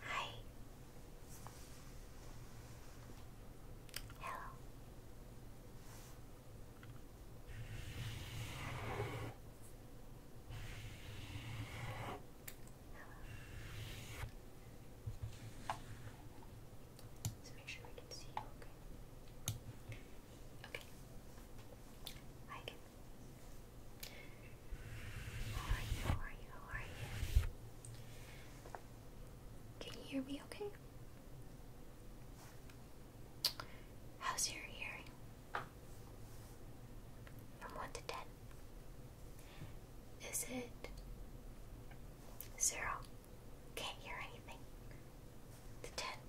Hi. Hello. Hello. So make sure we can see you okay. Okay. Hi How are you? How are you? How are you? Can you hear me okay? How's your hearing? From 1 to 10. Is it zero? Can't hear anything. The tent.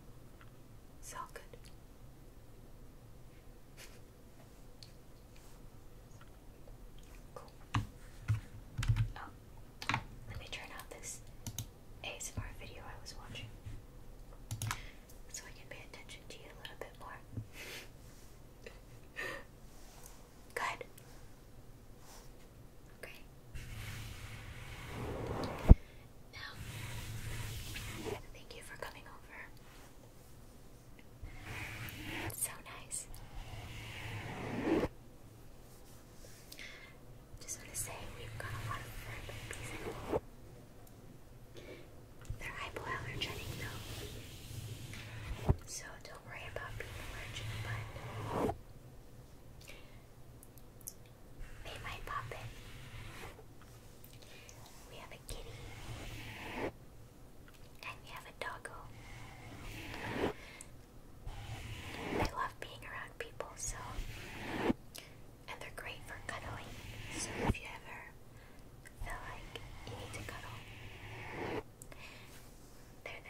It's all good. Cool. Oh, let me turn off this ASMR video I was watching so I can pay attention to you a little bit more. Good. Okay. Now, thank you for coming over. so nice. Just want to say we've got a lot of fur babies They're hypoallergenic though. So don't worry about being allergic, Made my puppet. We have a kitty. And we have a doggo. They love being around people, so. And they're great for cuddling. So if you ever feel like you need to cuddle, they're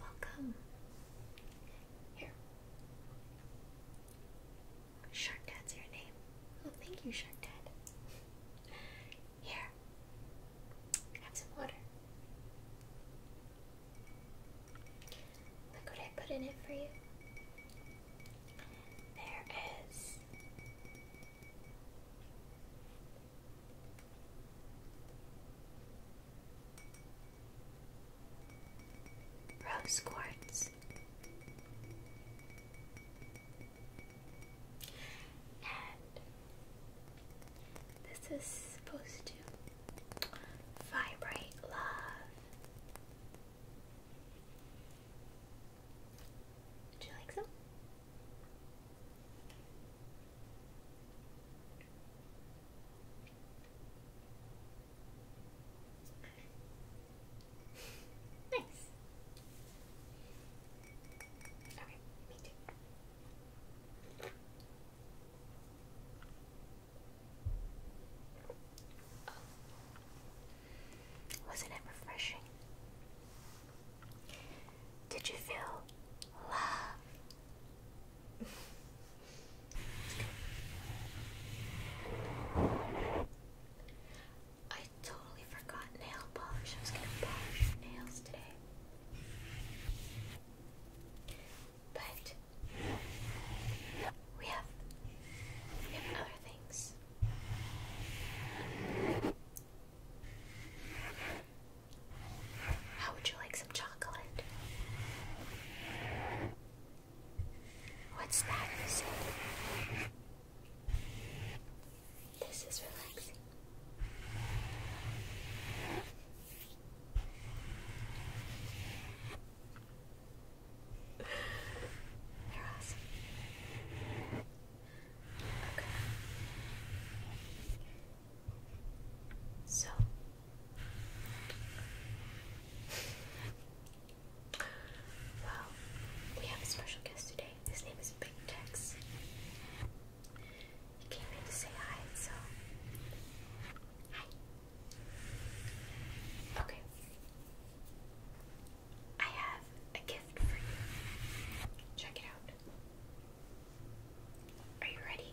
Welcome. Here. Shark Dad's your name. Oh, thank you, Shark Dad. Here. Have some water. Look what I put in it for you. There is Rose quartz. And this is supposed to vibrate love. Do you like some? Nice. Okay, me too. Oh. Wasn't it refreshing? Did you feel love I totally forgot nail polish. I was gonna polish your nails today. But we have, other things. How would you like some chocolate? What's that This is relaxing. You're awesome. Okay. So well, we have a special guest today. His name is Big Tex. He came in to say hi, so hi. Okay. I have a gift for you. Check it out. Are you ready?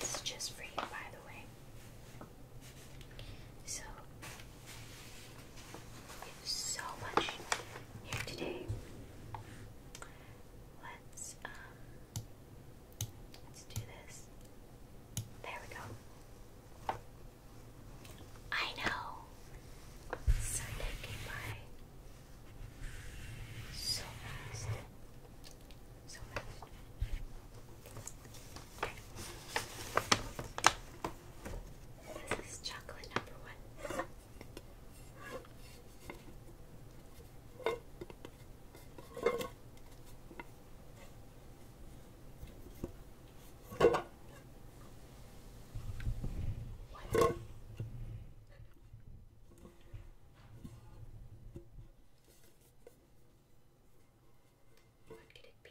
This is just for you, by the way. So so much here today. Let's um let's do this. There we go. I know. Sunday came by so fast. So fast. This is chocolate number one. What? could it be?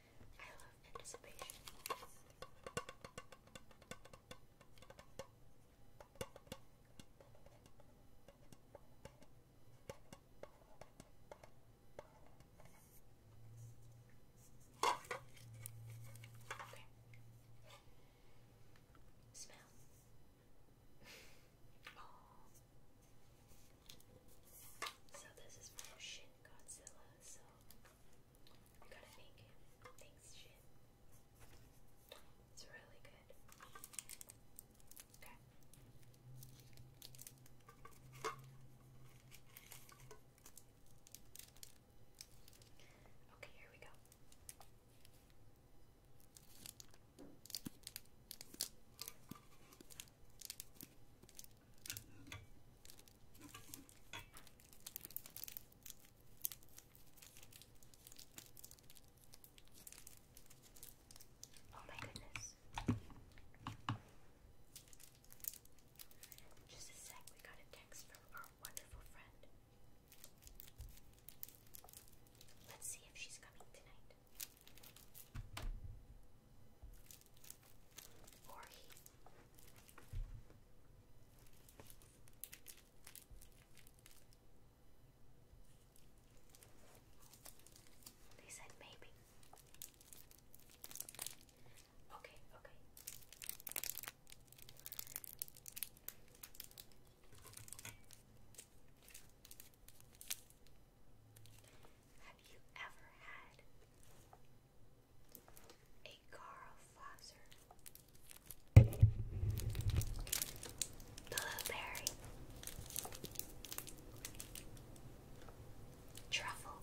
I love anticipation. Okay. Smell. oh. So this is from Shin Godzilla, so I gotta make him. Thanks, shit. It's really good. Okay. Okay, here we go. Oh my goodness. Just a sec, we got a text from our wonderful friend. Let's see if she's coming tonight. Or they said maybe. Okay, okay. Have you ever had a Carl Flosser, blueberry, truffle,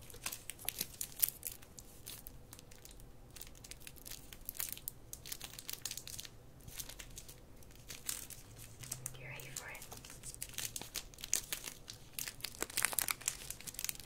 you ready for it?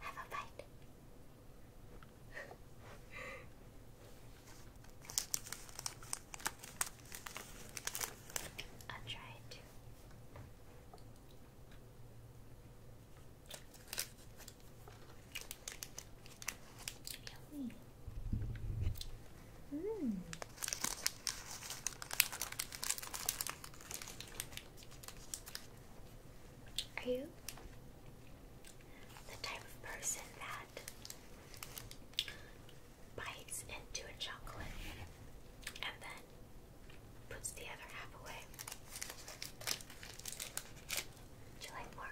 Have a bite. I'll try it. Yummy. Mmm. Are you the type of person that bites into a chocolate and then puts the other half away? Would you like more?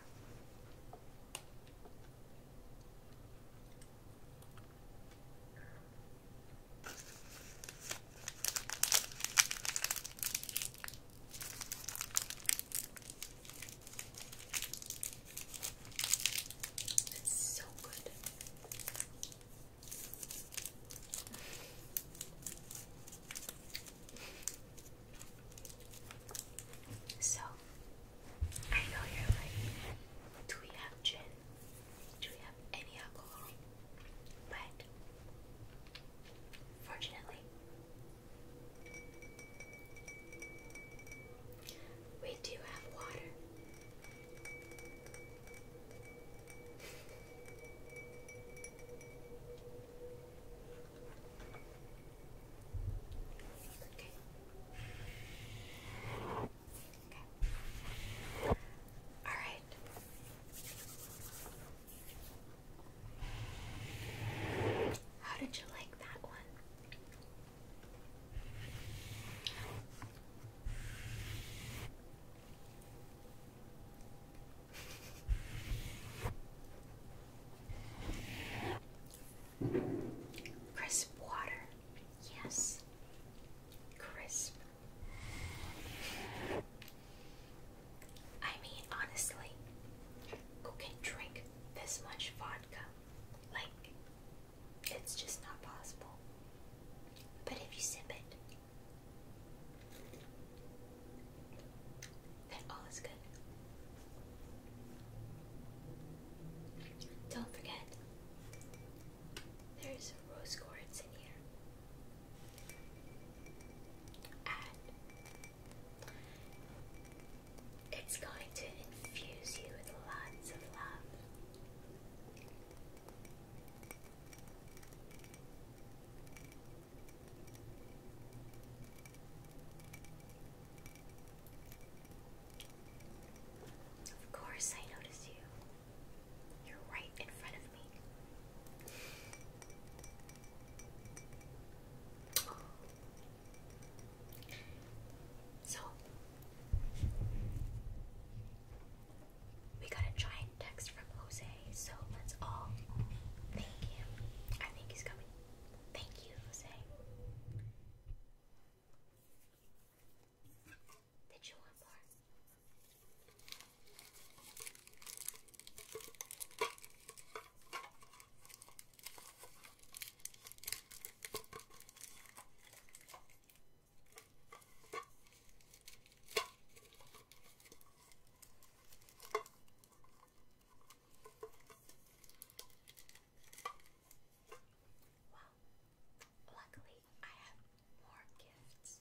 It's so good. So, I know you're like, do we have gin? do we have any alcohol? But fortunately, we do have water. Okay. All right. How did you like that one? Crisp water. Yes. Crisp I mean, honestly, who can drink this much vodka? Like, it's just not possible. But if you sip it, then all is good. Don't forget, there's rose quartz in here it's going to infuse you with lots of love. Of course, I notice you. You're right in front of me. So, we got a giant text from Jose, so let's all thank him. I think he's coming. Thank you, Jose. Did you want more? Well, luckily I have more gifts.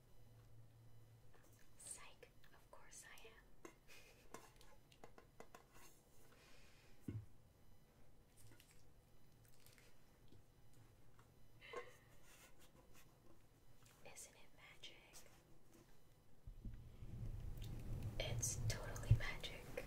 Psych, of course I am. Isn't it magic? It's totally magic.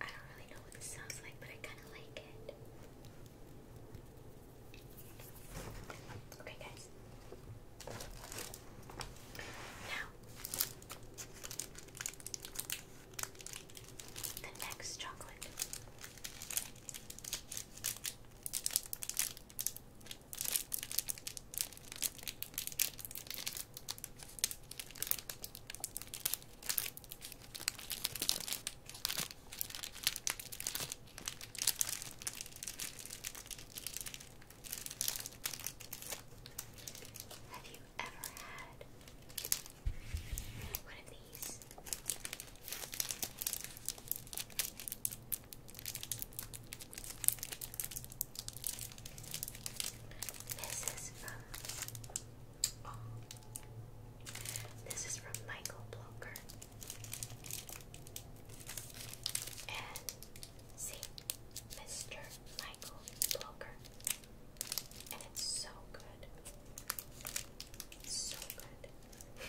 I don't really know what this sounds like, but I kind of like it. Okay, guys. Now, the next chocolate. Have you ever had one of these? This is from oh, this is from Michael Bloker and see Mr. Michael Bloker, and it's so good, it's so good.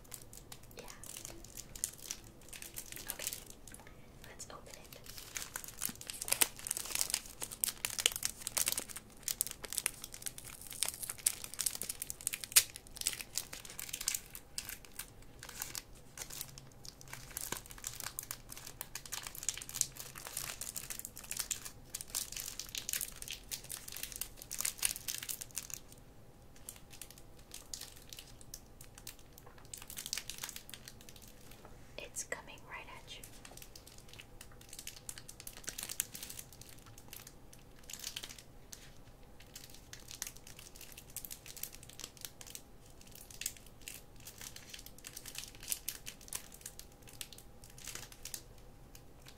Yeah. Okay. Let's open it. It's coming right at you. It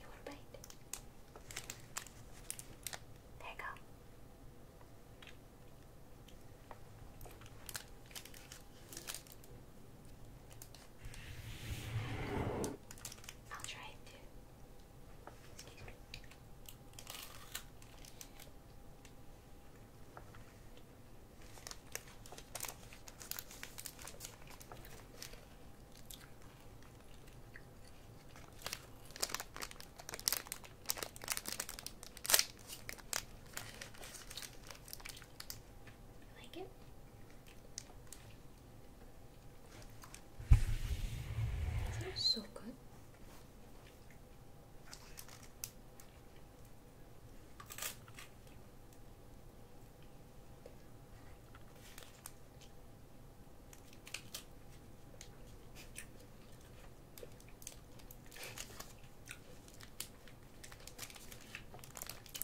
will bite. There you go. I'll try it too. Excuse me like it? That so good.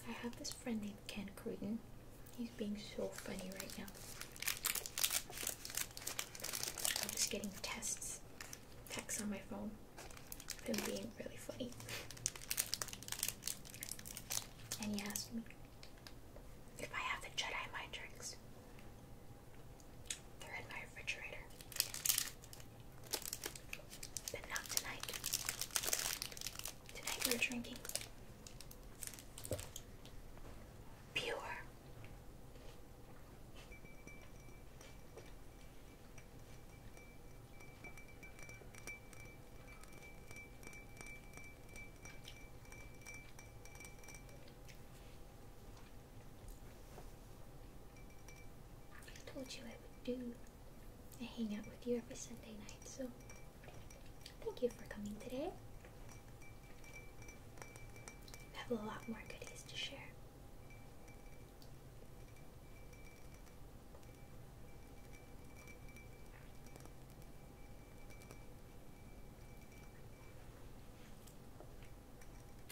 I have this friend named Ken Cruden. He's being so funny right now. I'm just getting tests, texts on my phone. Him being really funny. And he asked me if I have the Jedi mind tricks. They're in my refrigerator. But not tonight. Tonight we're drinking pure I told you I would do. I hang out with you every Sunday night, so thank you for coming today. I have a lot more goodies to share.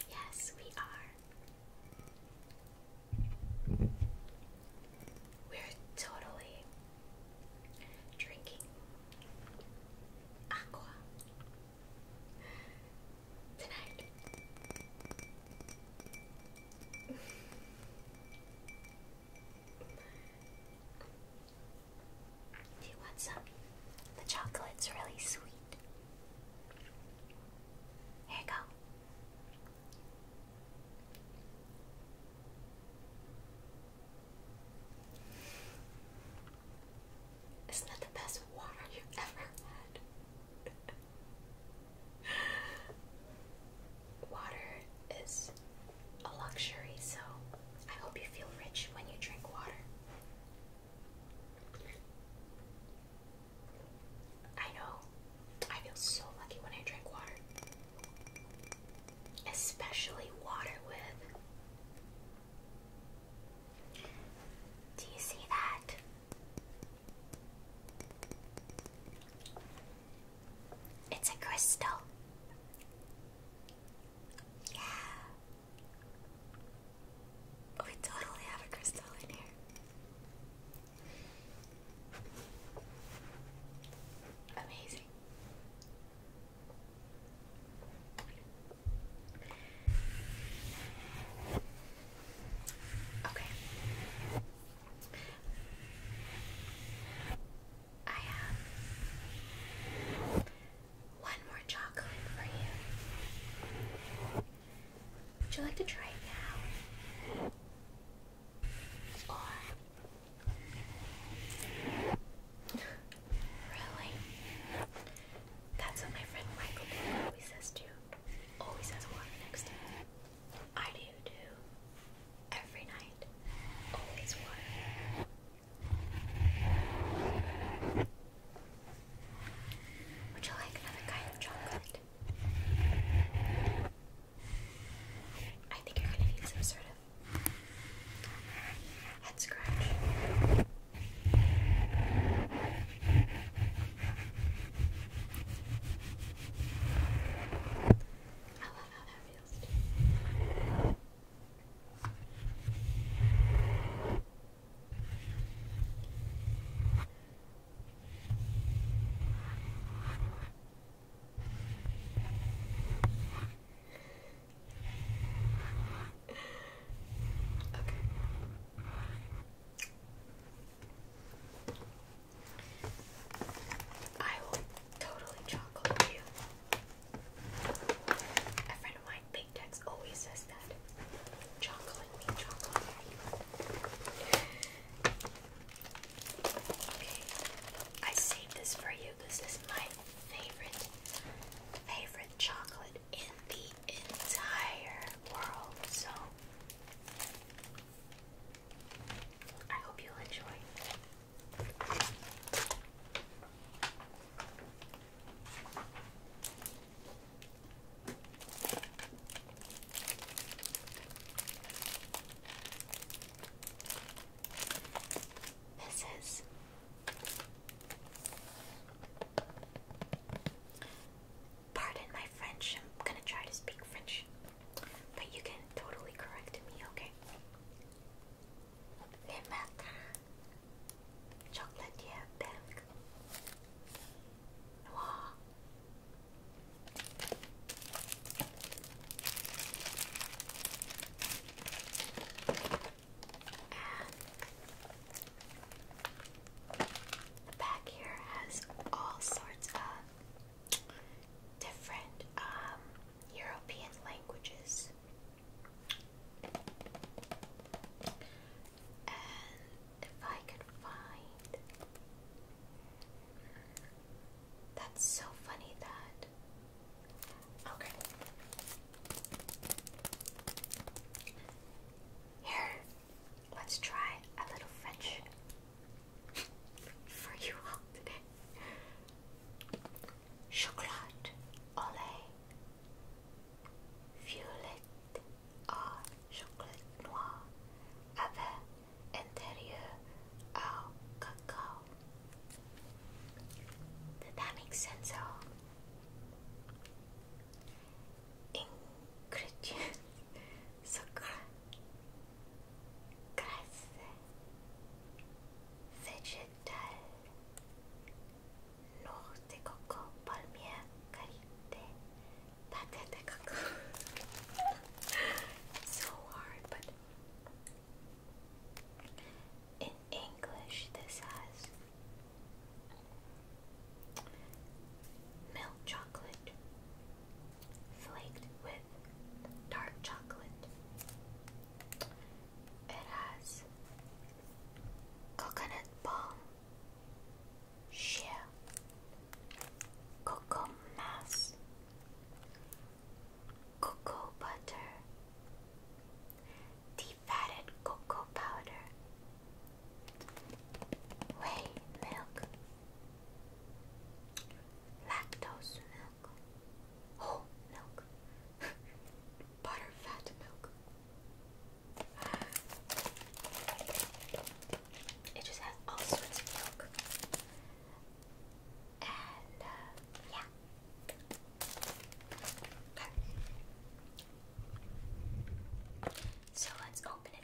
Yes, we are. We're totally drinking aqua tonight. Do you want some? The chocolate's really sweet. Here you go. Isn't that the best water you've ever had? water is a luxury, so I hope you feel rich when you drink water. I know I feel so lucky when I drink water, especially water with. Do you see that? It's a crystal. Yeah. Oh, we totally have a crystal in here. Amazing. Okay. I have one more chocolate for you. Would you like to try it now? really? That's what my friend Michael always says too. Always has water next to him. I do too. Every night. Always water. Would you like another kind of chocolate? I think you're gonna need some sort of head scratch. I love how that feels. Okay. I will totally chocolate you. A friend of mine big Tex always says that. Okay, I saved this for you. This is my favorite, favorite chocolate in the entire world. So I hope you'll enjoy. This Pardon my French. I'm gonna try to speak French. But you can totally correct me, okay? Limata Chocolatier Pink Noir the back here has all sorts of different um, European languages. And if I could find. That's so funny that. Okay. Here, let's try a little French for you all Chocolat au Violette à chocolat noir avec intérieur à cacao. Did that make sense at all? Ingredients Sucre Grasse Vegetal ノーでここパルミア借りて立ててここ It's so hard but in English this has milk chocolate flaked with dark chocolate. It has coconut palm, shea, cocoa mass, cocoa butter, defatted cocoa powder, whey milk, lactose milk, whole milk, butterfat milk. It just has all sorts of milk. And, uh, yeah. So let's open it.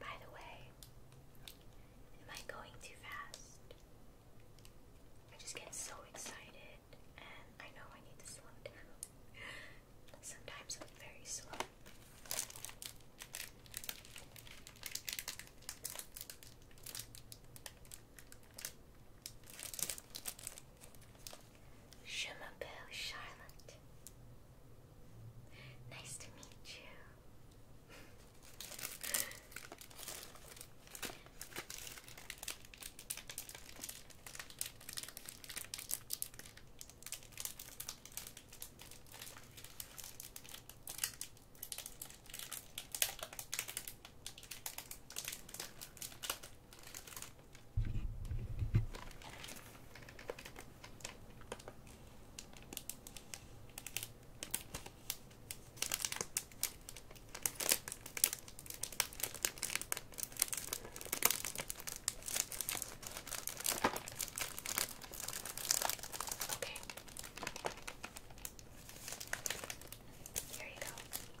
By the way, am I going too fast? I just get so excited, and I know I need to slow down. Sometimes I'm very slow. Je m'appelle Charlotte. Nice to meet you. Okay. Here you go.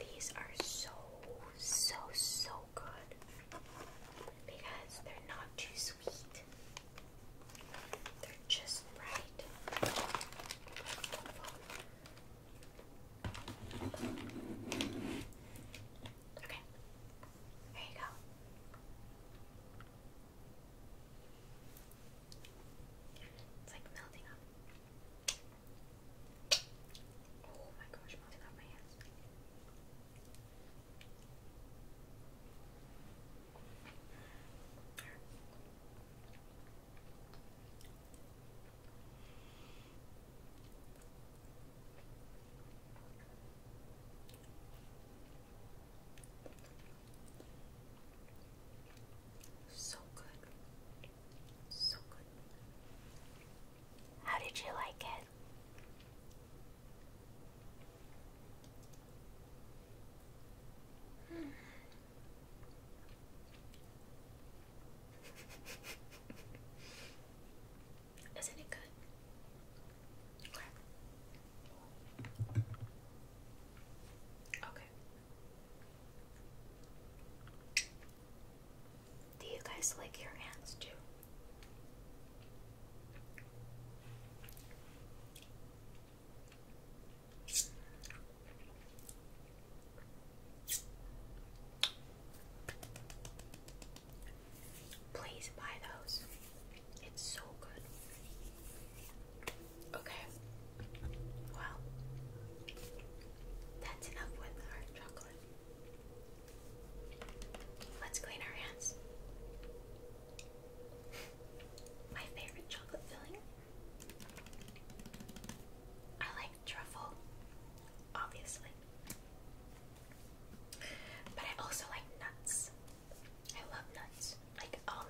These are so, so, so good because they're not too sweet, they're just right. Okay, there you go. It's like melting up. Oh my gosh, melting off my hands. So good. So good. How did you like it? Isn't it good? Okay. Do you guys lick your hands too? Please buy those. It's so good. Okay. Well, that's enough with our chocolate. Let's clean our hands. My favorite chocolate filling. I like truffle, obviously. But I also like nuts. I love nuts, like almond.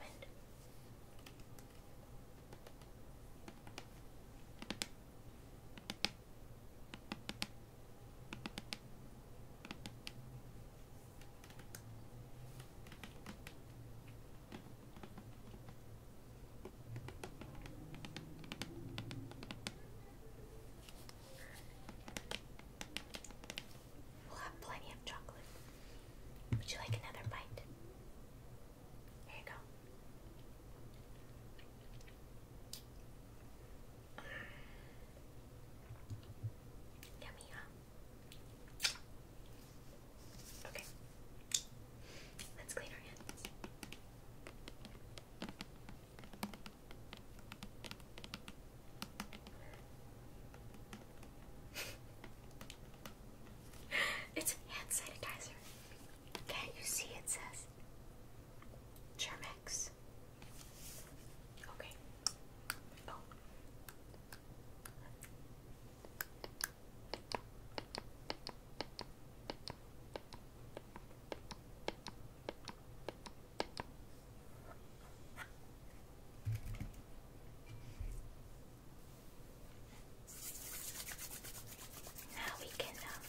We'll have plenty of chocolate. Would you like another bite? Here you go. Yummy, huh? Okay. Let's clean our hands. it's hand sanitizer. Can't you see it says Germex? Okay. Oh. Now we can um,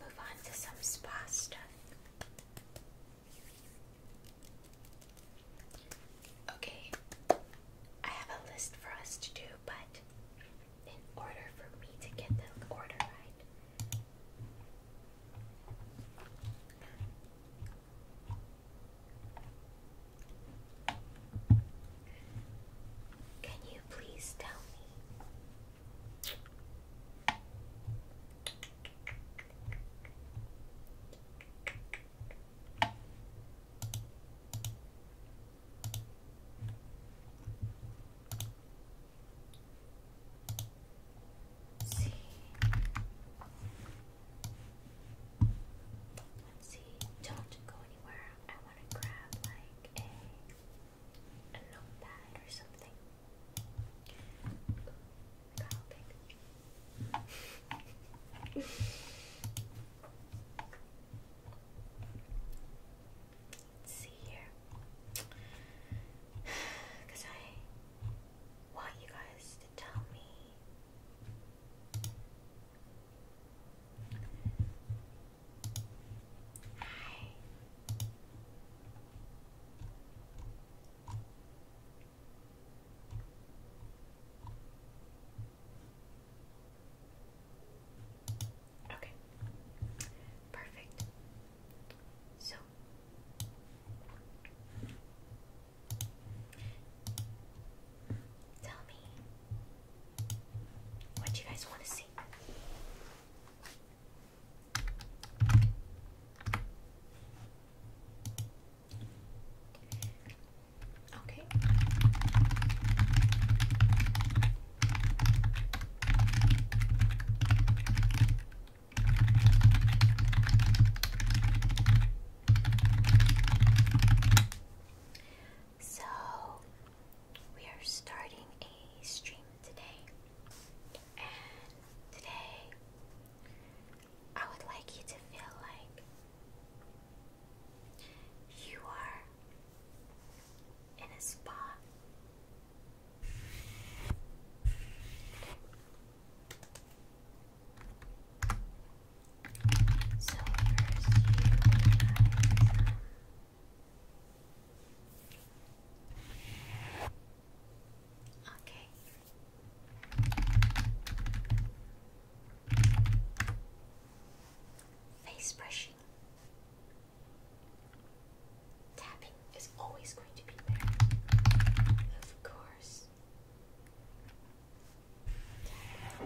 move on to some spa stuff. Okay, I have a list for us to do, but in order for me to get the order right, can you please tell me? Let's see. see. Don't go anywhere. I want to grab like a a notepad or something. Let's see here. I want you guys to tell me. I Okay, perfect. So tell me what you guys want to see. Okay. So, we are starting a stream today, and today I would like you to feel like you are in a spa. Okay. Face brushing. Tapping is always going to be there. Of course. Okay.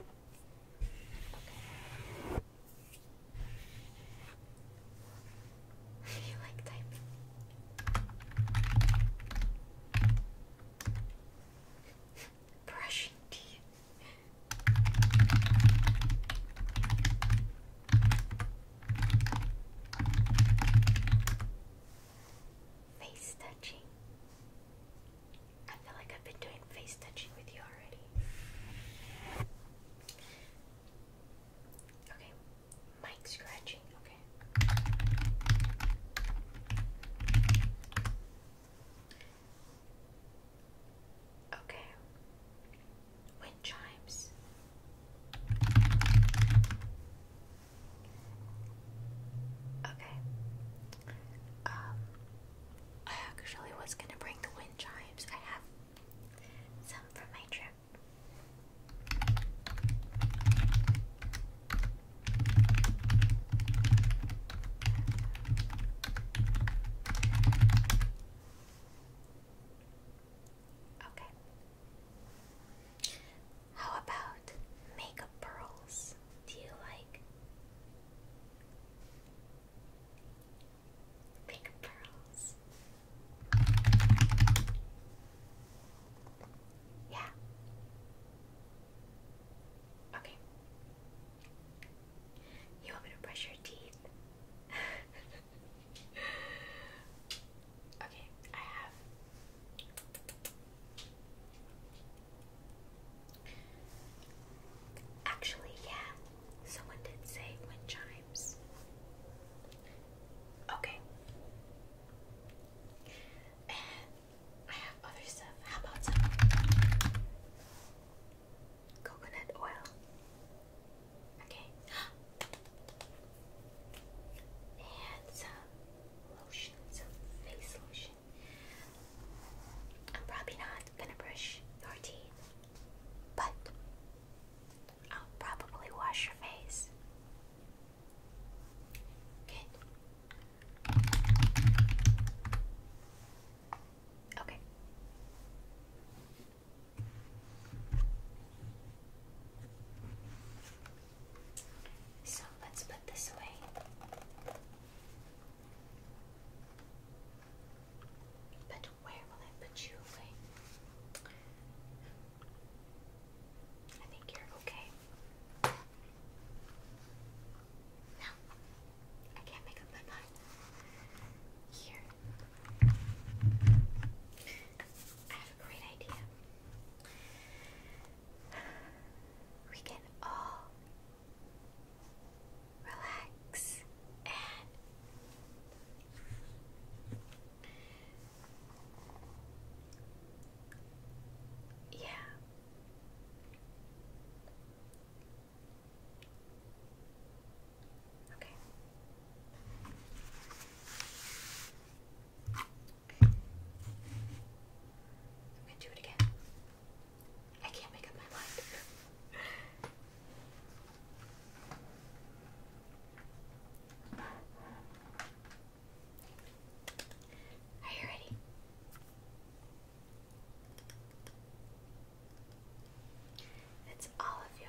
you like typing? brushing teeth. Face touching. I feel like I've been doing face touching with you already. Okay, mic scratching. Okay. Okay. Wind chimes. Okay. Um I actually was gonna bring the wind chimes. I have some from my trip. Okay. How about makeup pearls? Do you like makeup pearls? Yeah. Okay. You want me to brush your teeth? okay, I have Actually, yeah. Someone did say wind chimes. Okay. I have other stuff. How about some coconut oil? Okay. And some lotion, some face lotion. I'm probably not gonna brush your teeth, but I'll probably wash your face. Good. Okay. So let's put this away. But where will I put you away? I think you're okay. No, I can't make up my mind. Here, I have a great idea. We can all relax and yeah. Okay. I'm gonna do it again. I can't make up my mind. Are you ready? It's all of your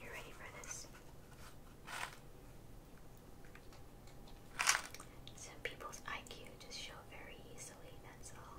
You are ready for this? Some people's IQ just show very easily, that's all.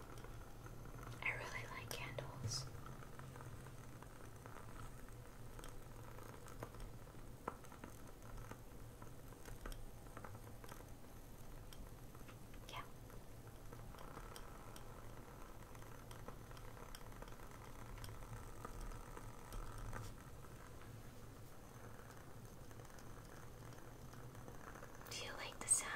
I really like candles. Yeah. Do you like the sound?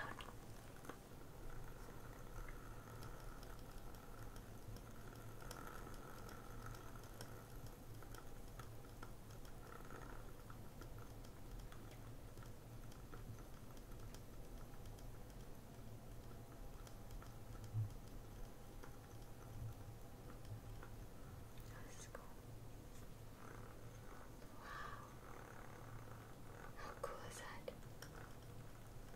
That's cool. How cool is that?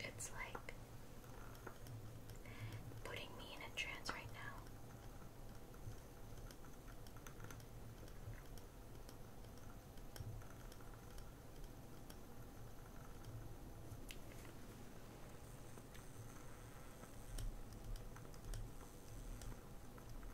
It's like putting me in a trance right now.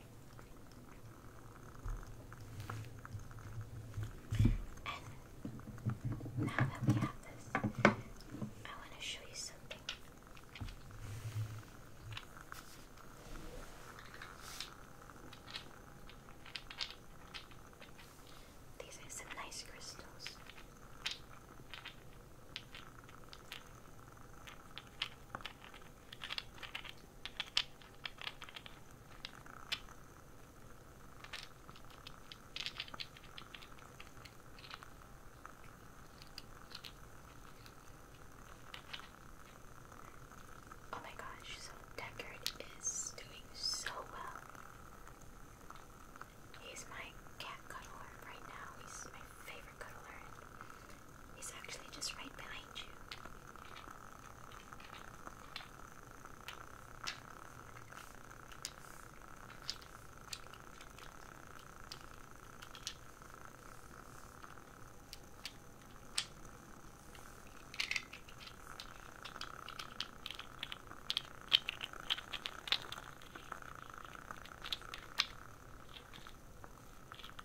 And now that we have this, I want to show you something. These are some nice crystals. Oh my gosh, so Deckard is doing so well. He's my cat cuddler right now. He's my favorite cuddler. He's actually just right behind you.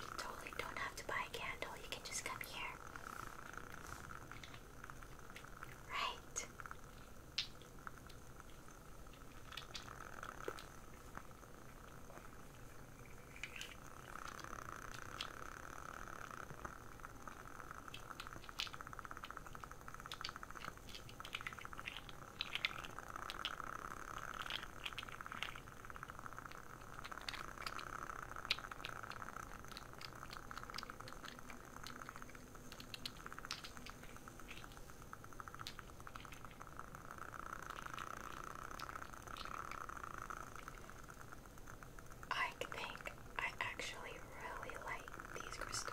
You totally don't have to buy a candle, you can just come here. Right. I think I actually really like these crystals.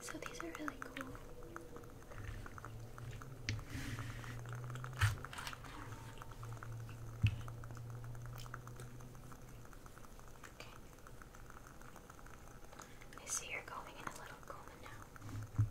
So these are really cool. I see you're going in a little coma now.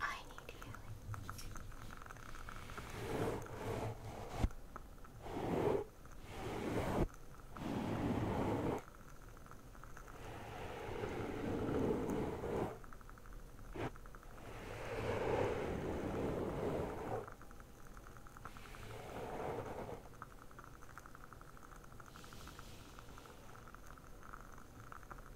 I need healing.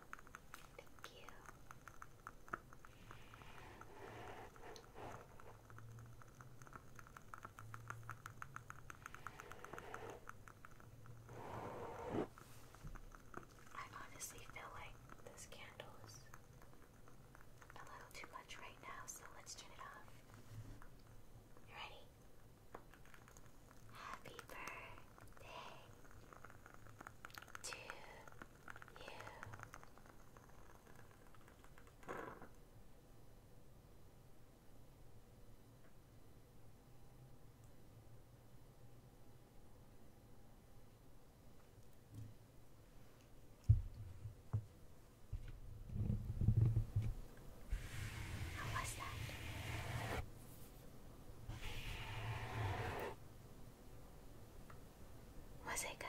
Thank you. I honestly feel like this candle is a little too much right now, so let's turn it off. You ready? Happy birthday to you. How was that? Was it good?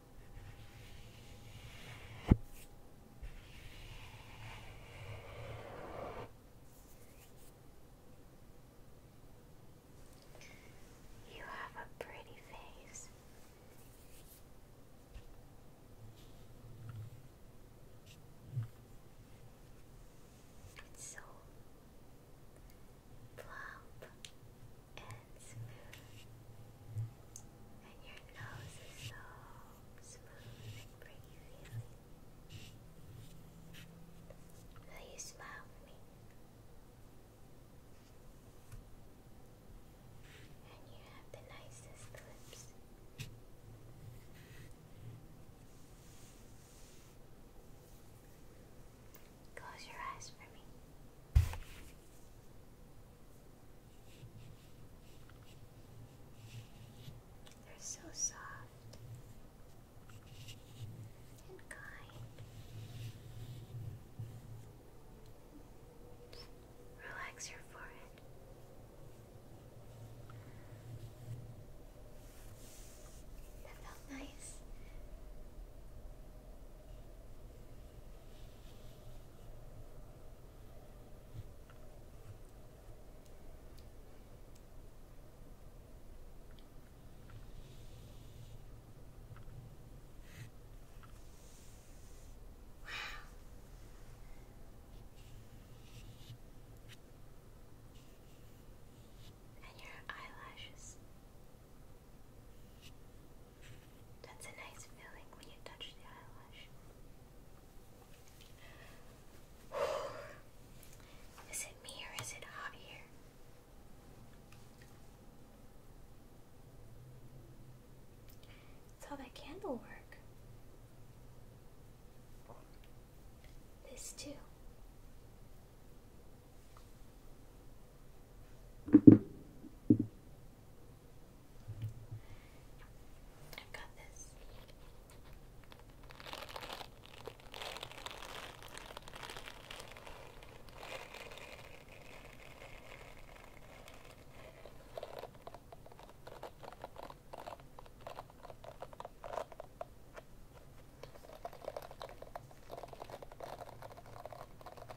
You have a pretty face. It's so plump and smooth. And your nose is so smooth and pretty Will you smile for me? And you have the nicest lips. Close your eyes for me. They're so soft and kind. Relax your forehead. That felt nice. And your eyelashes. That's a nice feeling when you touch the eyelash. Is it me or is it hot here? It's all that candle This too. I've got this.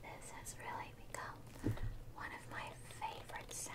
This has really become one of my favorite sounds.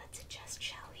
Let's adjust, shall we?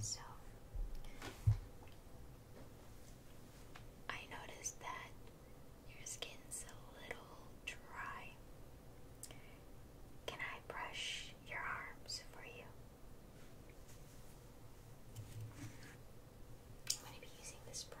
So I noticed that your skin's a little dry. Can I brush your arms for you? I'm going to be using this brush.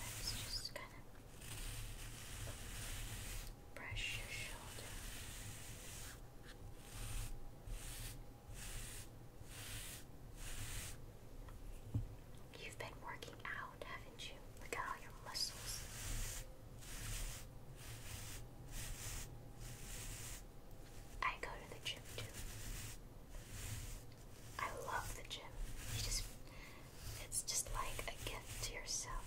Let's just kind of brush your shoulder. You've been working out, haven't you? Look at all your muscles. I go to the gym too. I love the gym. You just it's just like a gift to yourself.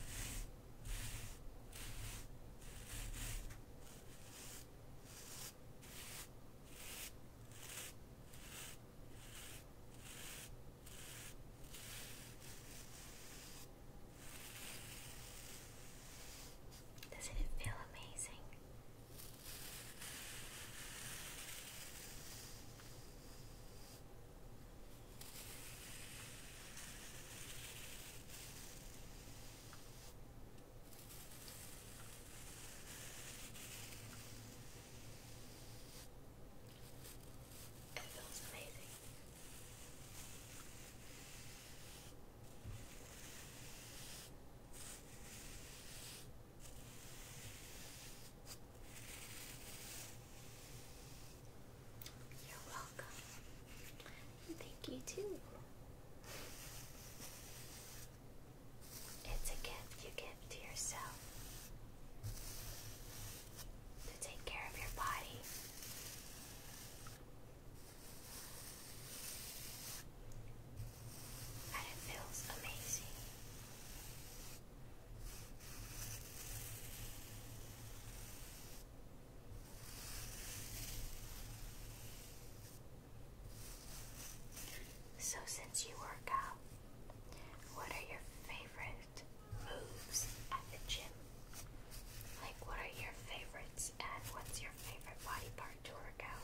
Doesn't it feel amazing? It feels amazing. You're welcome. Thank you too. It's a gift you give to yourself to take care of your body. So, since you work out, what are your favorite moves at the gym? Like, what are your favorites, and what's your favorite body part to work out?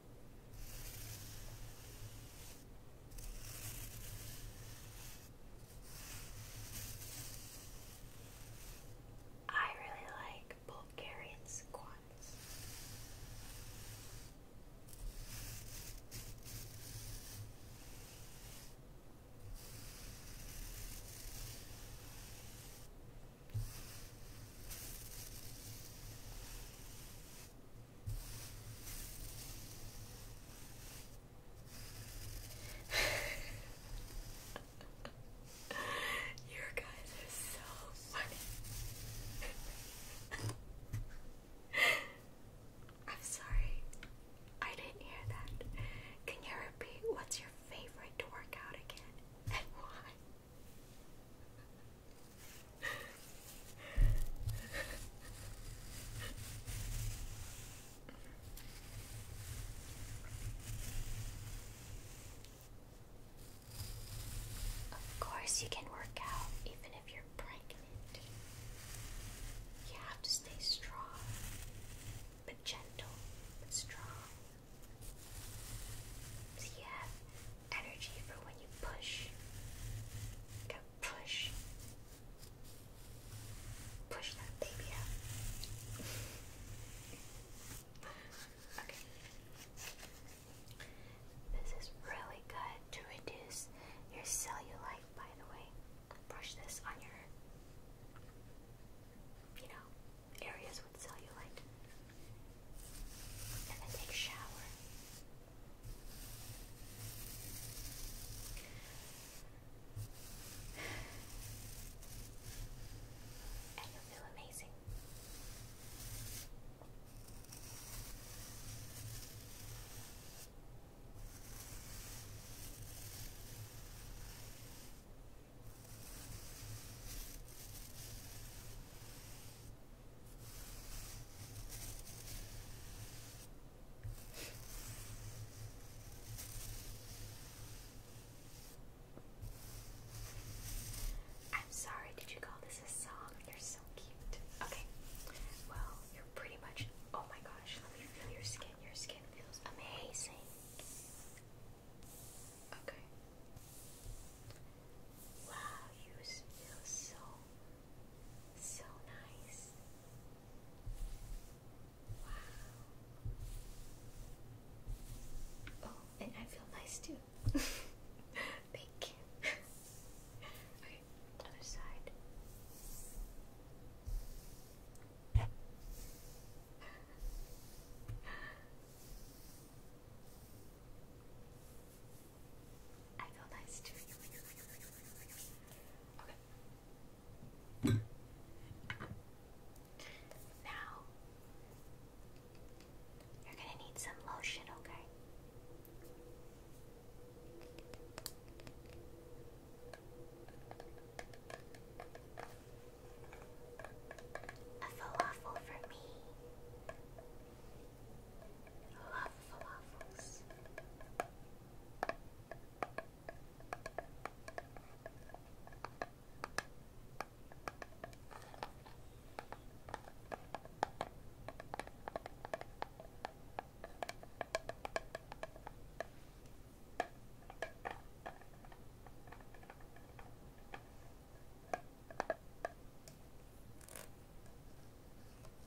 I really like Bulgarian squats. you guys are so funny. I'm sorry. I didn't hear that. Can you repeat what's your favorite to work out again and why? Of course, you can work out even if you're pregnant. You have to stay strong, but gentle, but strong. So you have energy for when you push push. Push that baby out. okay. This is really good to reduce your cellulite, by the way. Brush this on your, you know, areas with cellulite. And then take a shower. And you'll feel amazing. Now I'm sorry, did you call this a song? You're so cute. Okay. Well, you're pretty much oh my gosh, let me feel your skin. Your skin feels amazing. Okay. Wow, you feel so so nice. Wow. Oh, and I feel nice too. Thank you. okay, other side. Now you're gonna need some lotion, okay? A falafel for me love falafels.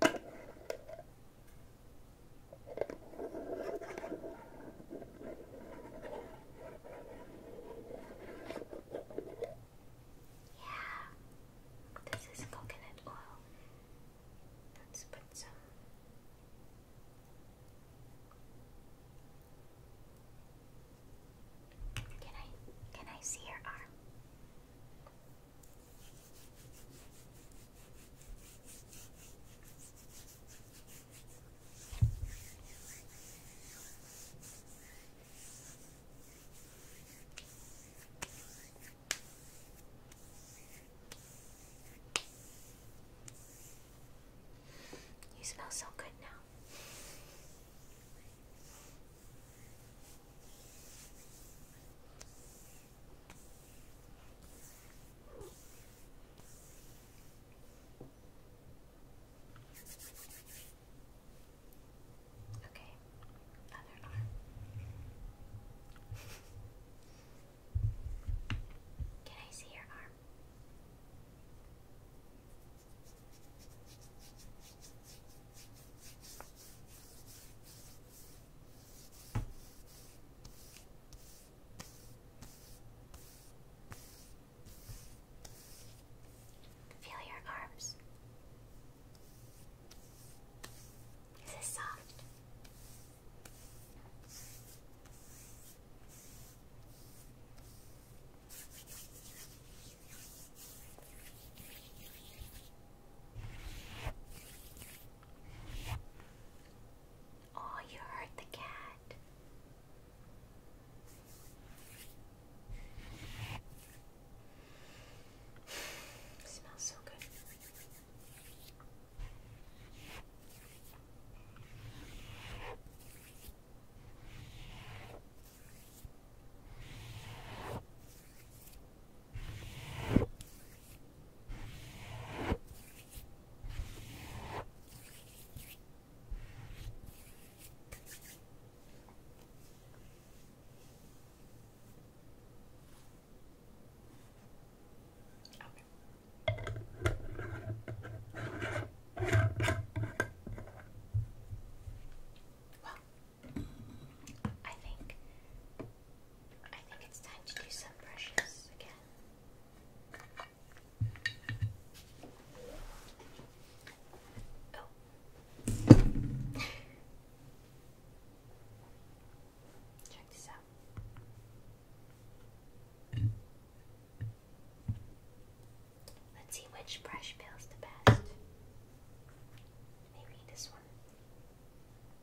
this is coconut oil. Let's put some. Can I can I see your arm? You smell so good now. Okay, other arm. Can I see your arm? Feel your arms. Is this soft? Oh, you hurt the cat. smells so good. Well, I think I think it's time to do some brushes again. Oh. Check this out. Let's see which brush feels the best. Maybe this one.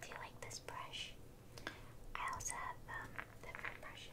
Do you like this brush? I also have um, different brushes.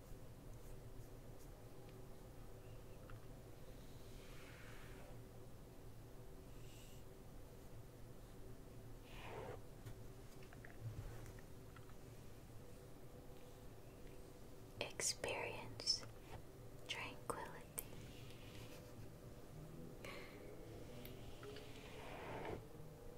Experience tranquility.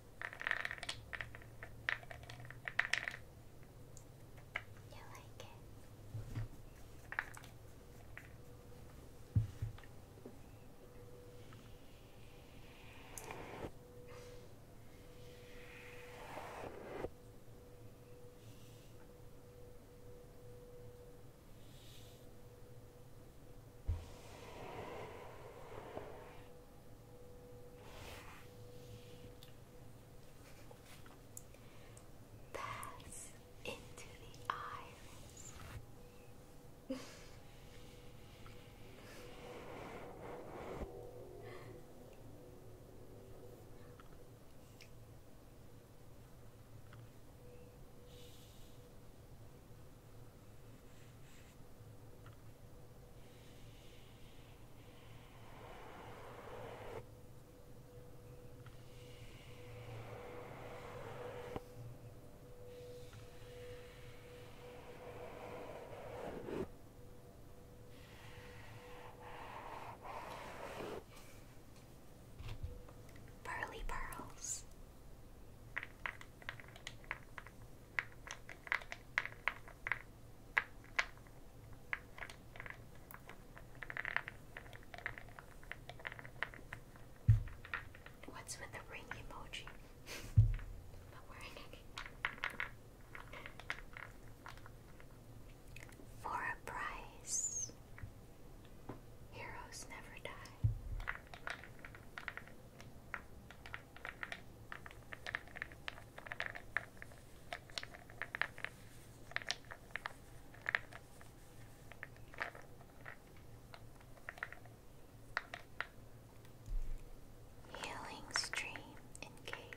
You like it? Pass into the iris. Pearly pearls. What's with the ring emoji? not wearing it. For a price, heroes never die. Healing stream engaged.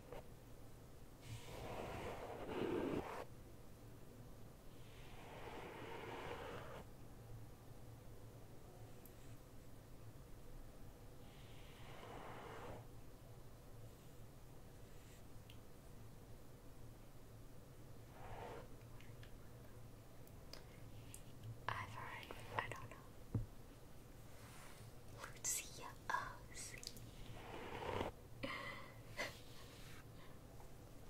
I've heard, I don't know. Lucia Oz.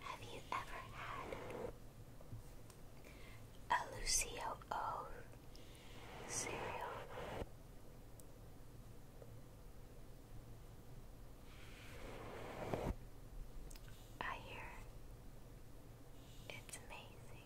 Have you ever had a Lucio Oz cereal? I hear it's amazing.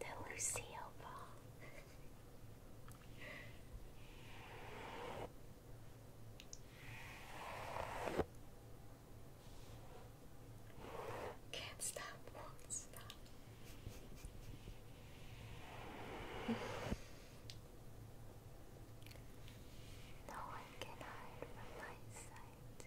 The Lucille Can't stop, won't stop. no one can hide from my sight.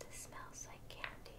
This smells like candy.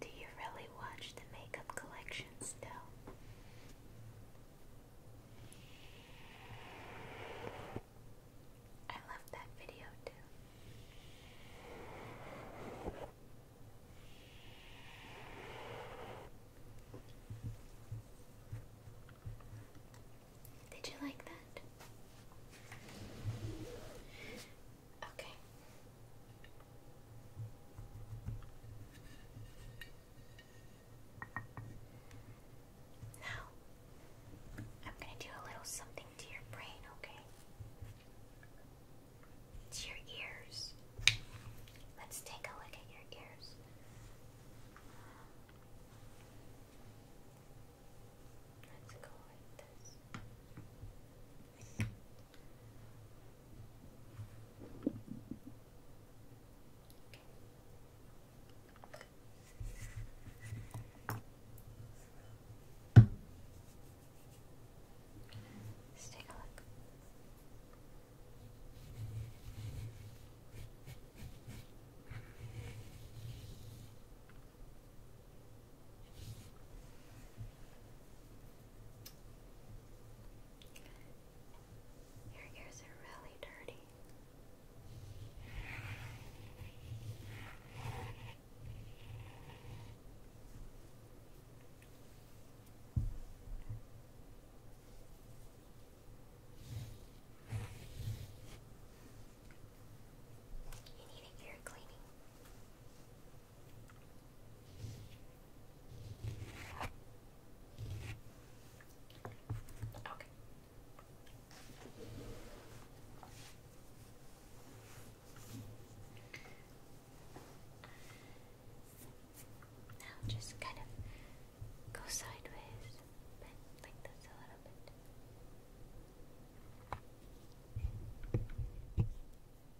Do you really watch the makeup collection still? I love that video too. Did you like that? Okay, now, I'm going to do a little something to your brain, okay? To your ears. Let's take a look at your ears. Let's go like this. Let's take a look. Your ears are really dirty. You need a ear cleaning. Okay. Now just kind of go sideways, bend like a little bit.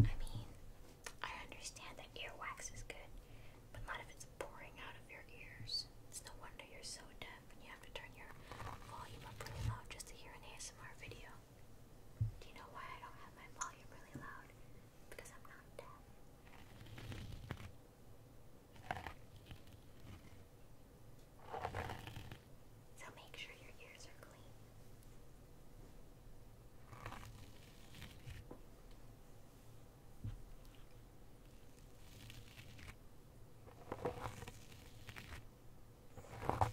I mean, I understand that earwax is good, but not if it's pouring out of your ears. It's no wonder you're so deaf when you have to turn your volume up really loud just to hear an ASMR video. Do you know why I don't have my volume really loud? Because I'm not deaf. So make sure your ears are clean. All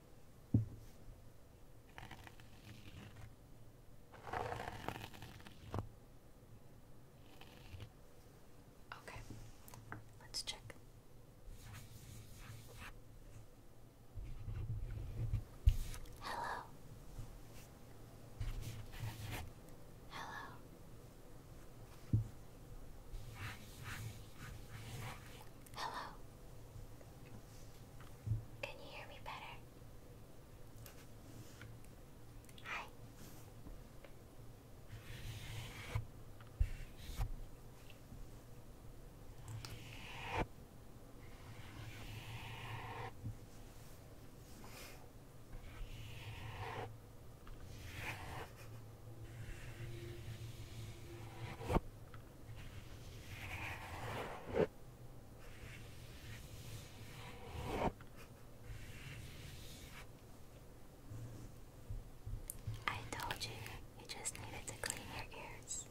Okay, let's check. Hello. Hello. Hello. Can you hear me better? Hi. I told you, you just needed to clean your ears.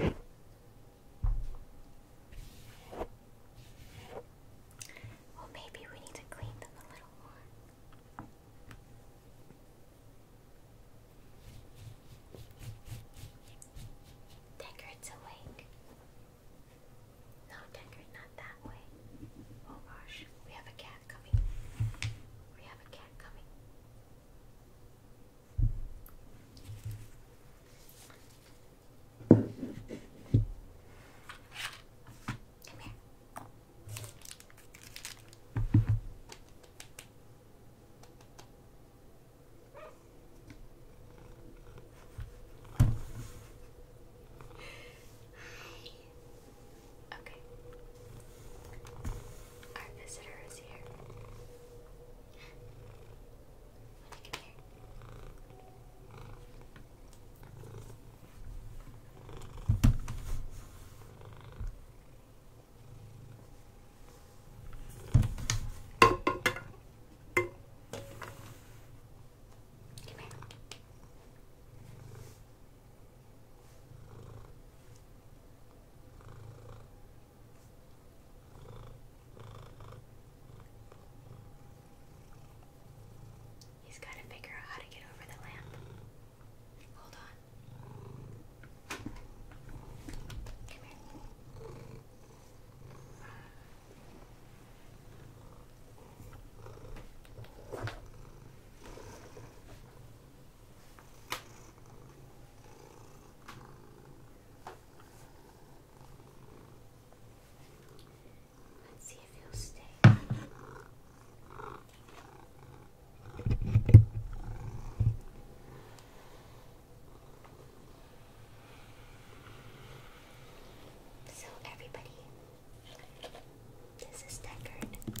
Well, maybe we need to clean them a little more. Deckard's awake. No, Deckard, not that way. Oh gosh, we have a cat coming. We have a cat coming. Come here. Hi. Okay. Our visitor is here. Come here. He's got to figure out how to get over the lamp. Hold on. Come here. Let's see if he'll stay. So, everybody, this is Deckard.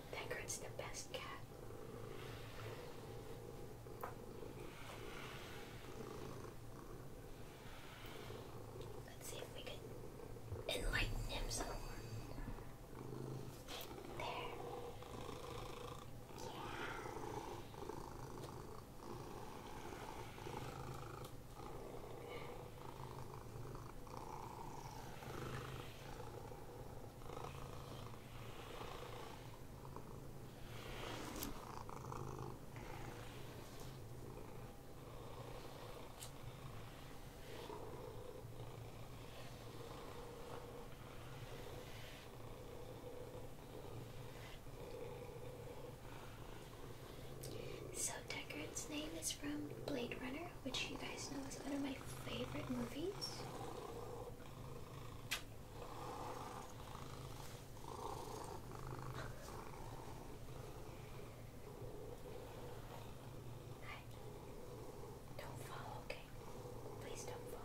Pancrat's the best cat. Let's see if we can enlighten him some more. There. Yeah. So Deckard's name is from Blade Runner which you guys know is one of my favorite movies. Don't fall, okay? Please don't fall.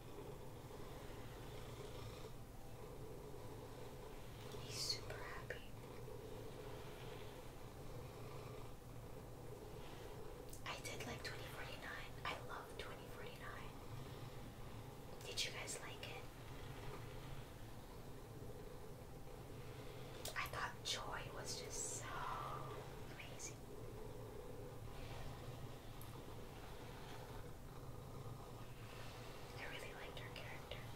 He's super happy. I did like 2049. I love 2049. Did you guys like it? I thought Joy was just so amazing. I really liked her character. I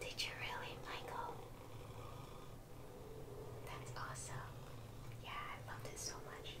did you really, Michael? That's awesome. Yeah, I loved it so much.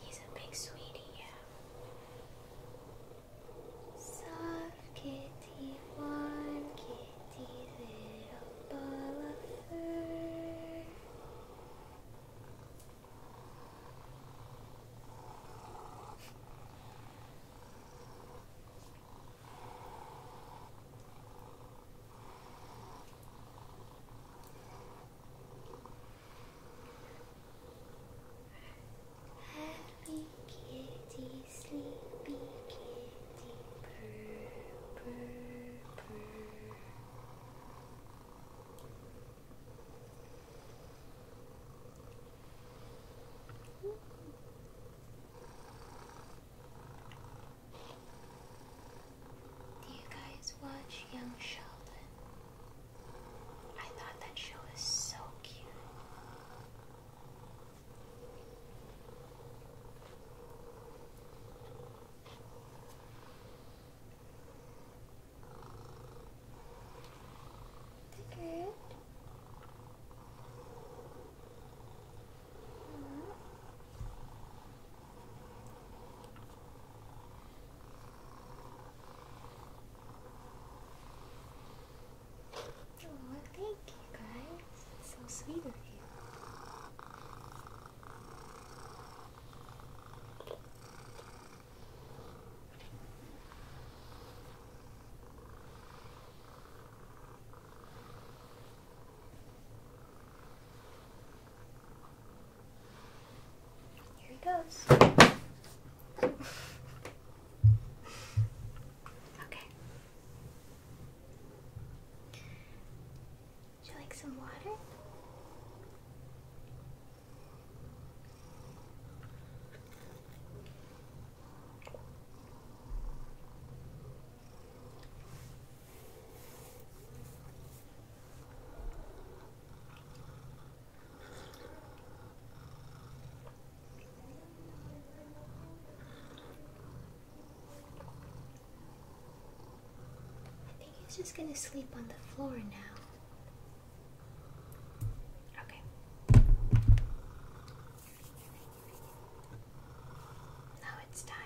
He's a big sweetie, yeah. Soft kitty, one kitty dainty little ball of fur. Happy kitty, sleepy kitty, Do you guys watch Young Sheldon? I thought that show was so cute. Good. Oh, thank you guys. so sweet of you. Here he goes. okay. Would you like some water? I think he's just gonna sleep on the floor now. Okay. Now it's time.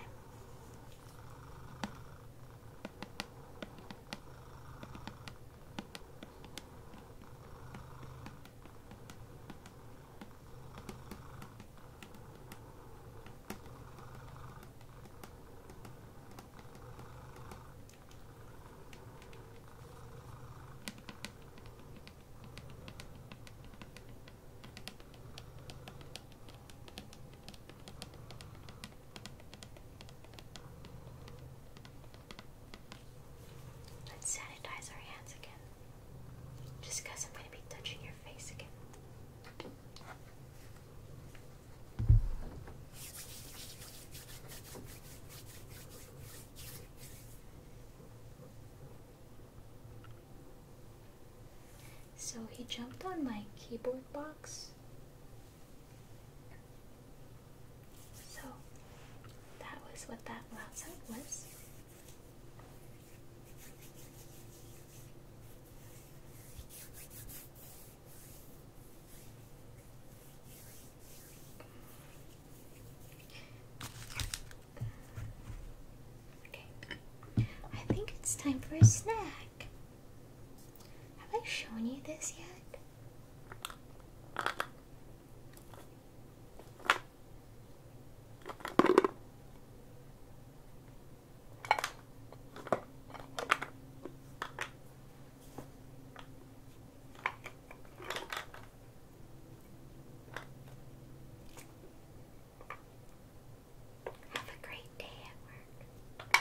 Let's sanitize our hands again. Just I'm going to be touching your face again. So he jumped on my keyboard box. So that was what that last side was. Okay, I think it's time for a snack. Have I shown you this yet? Have a great day at work.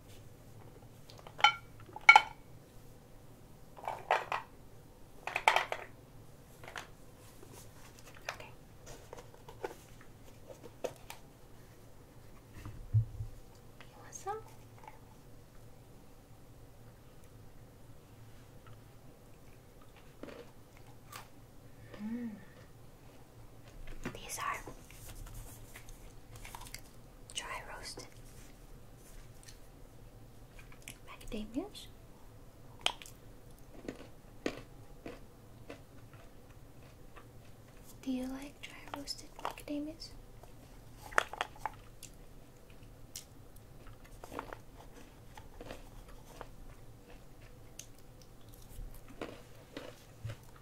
Okay. You want some? Mm. These are dry roasted macadamias. Do you like dry roasted macadamias?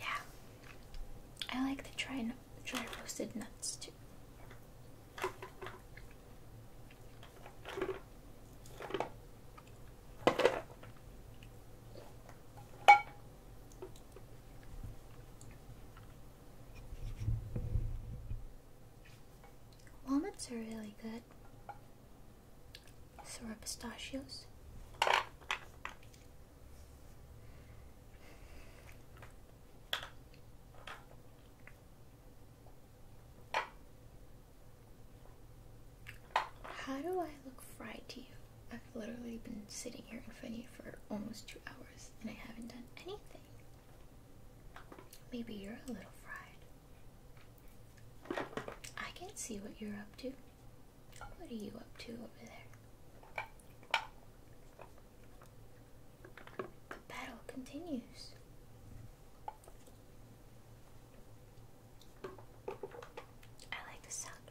yeah, I like to try dry roasted nuts too. Walnuts are really good. So are pistachios. How do I look fried to you? I've literally been sitting here in front of you for almost two hours and I haven't done anything. Maybe you're a little fried. I can see what you're up to. What are you up to over there? The battle continues. I like the sound.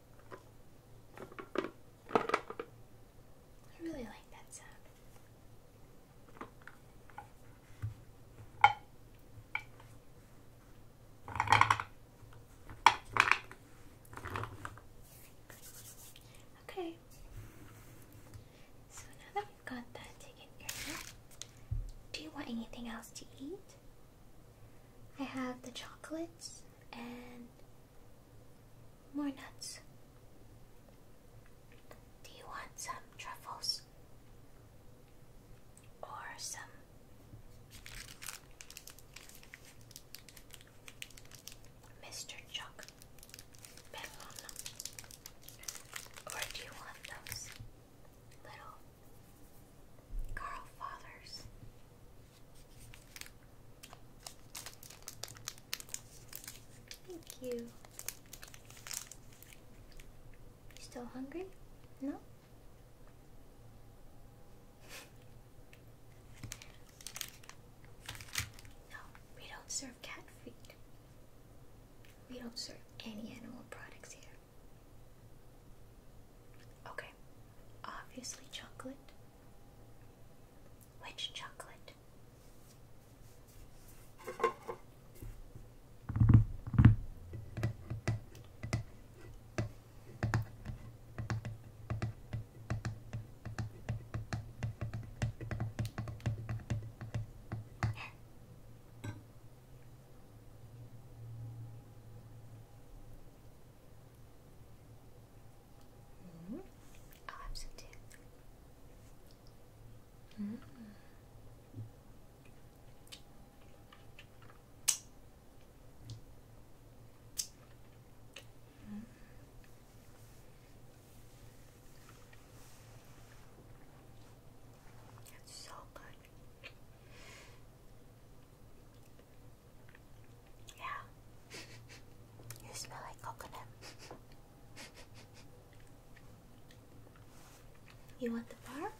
I really like that sound. Okay, so now that we've got that taken care of, do you want anything else to eat? I have the chocolates and more nuts. Do you want some truffles? Or some Mr. Chuck Or do you want those little Carl Fathers? Thank you. You still hungry? No? No, we don't serve cat food. We don't serve any animal products here. Okay, obviously, chocolate. Which chocolate? Mm mm-hmm. oh, I'll have some too. Mm. Mm. so good. Yeah. You smell like coconut. you want the bar?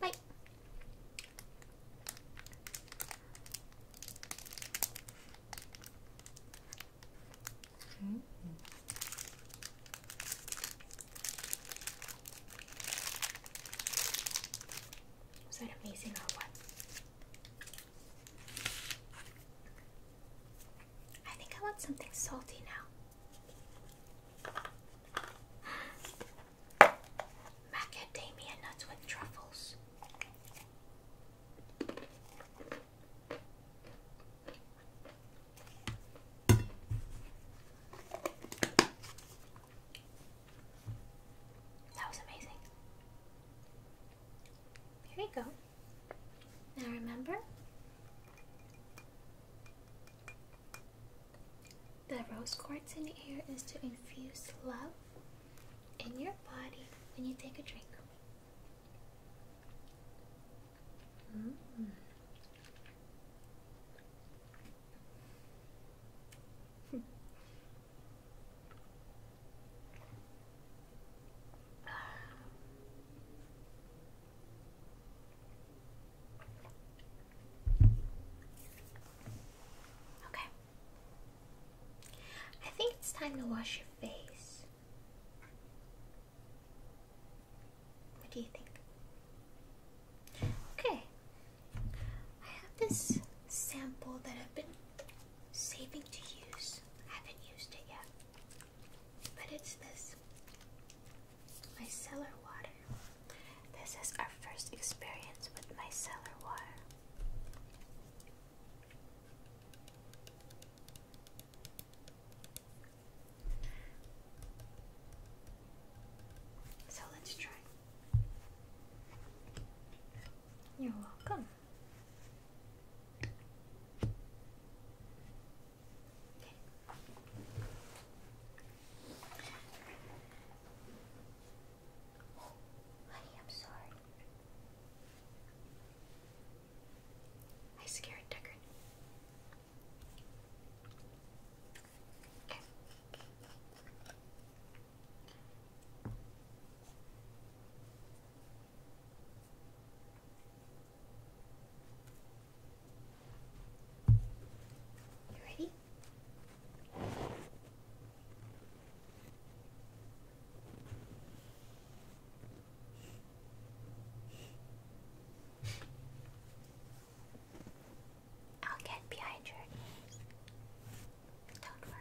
Bye. Mm -hmm. Was that amazing or what? I think I want something salty now. Macadamia nuts with truffles. That was amazing. There you go. Now remember the rose quartz in the air is to infuse love in your body when you take a drink. Mm. Okay. I think it's time to wash your face. What do you think? Okay. I have this sample that I've been saving to use. I haven't used it yet. But it's this micellar water. This is our first experience with micellar water. So let's try. You're welcome honey, I'm sorry. I scared Tucker. Okay. You ready? I'll get behind your knees. Don't worry.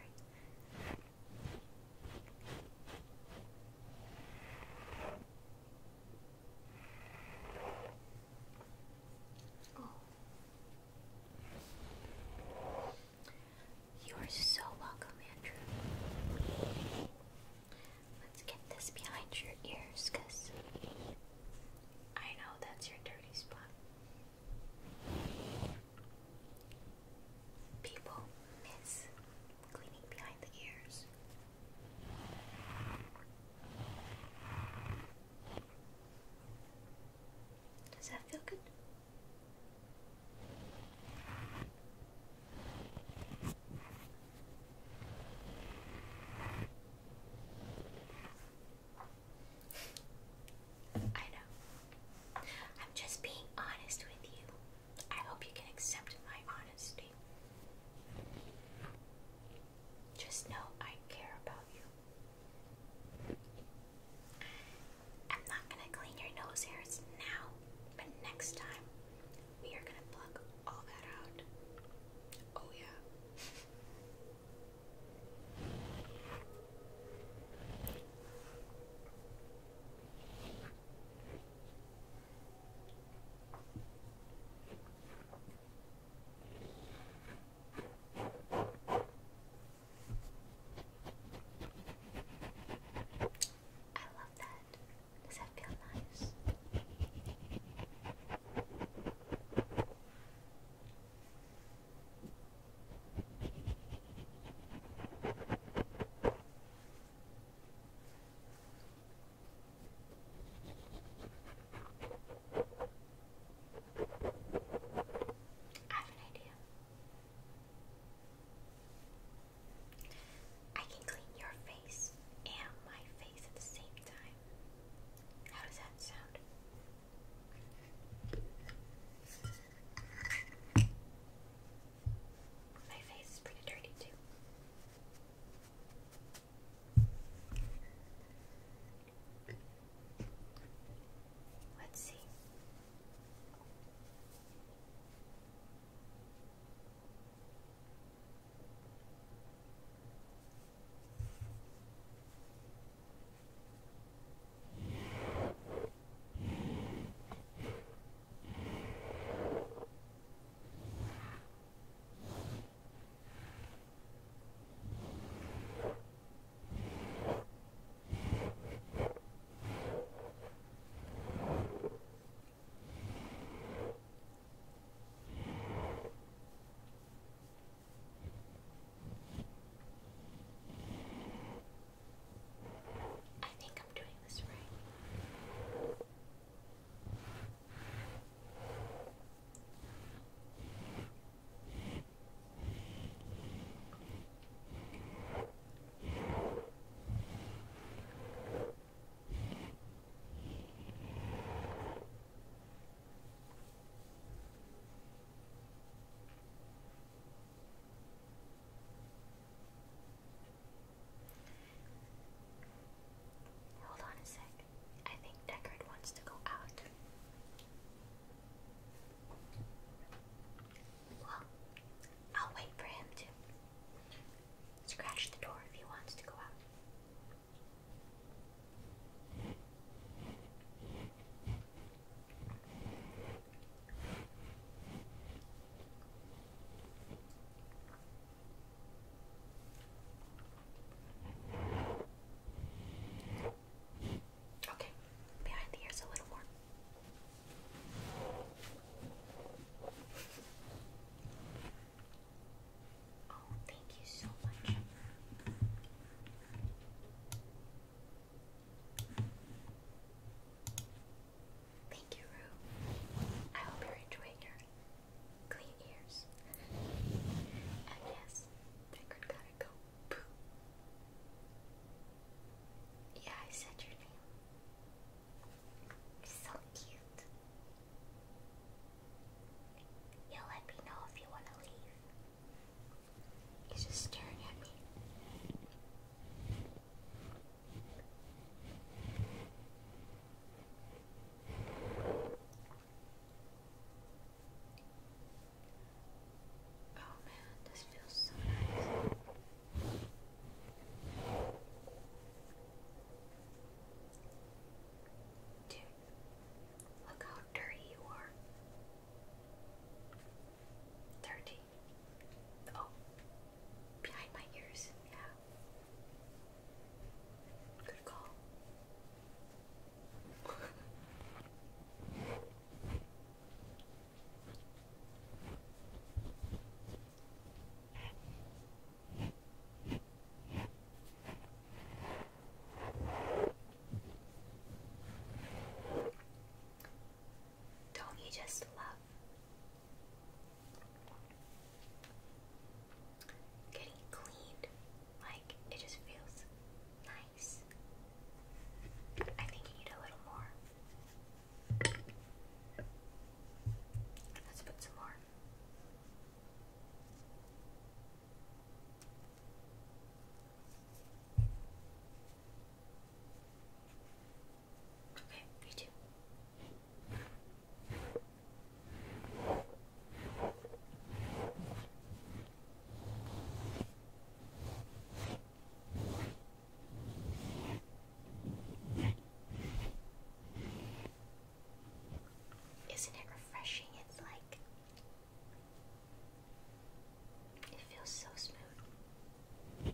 You are so welcome, Andrew. Let's get this behind your ears I know that's your dirty spot people miss cleaning behind the ears. Does that feel good? I know. I'm just being honest with you. I hope you can accept my honesty. Just know I care about you. I'm not gonna clean your nose hairs now, but next time we are gonna pluck all that out. Oh, yeah. I love that. Does that feel nice? I have an idea. I can clean your face and my face at the same time. How does that sound? My face is pretty dirty too. Let's see. I think I'm doing this right. Okay. Hold on a sec. I think Deckard wants to go out. Well, I'll wait for him to scratch the door if he wants to go out. Okay, behind the ears a little more. Oh, thank you so much. Thank you, Rue. I hope you're enjoying your clean ears. and yes, they could gotta go poo. Yeah, I said your name. You're so cute. You let me know if you wanna leave. He's just staring at me. Oh man, this feels so nice. Dude, look how dirty you are. Dirty. Oh, behind my ears. Yeah. Good call. Don't you just love Getting cleaned, like it just feels nice. I think you need a little more. Let's put some more. Okay, you too. Isn't it refreshing? It's like it feels so smooth.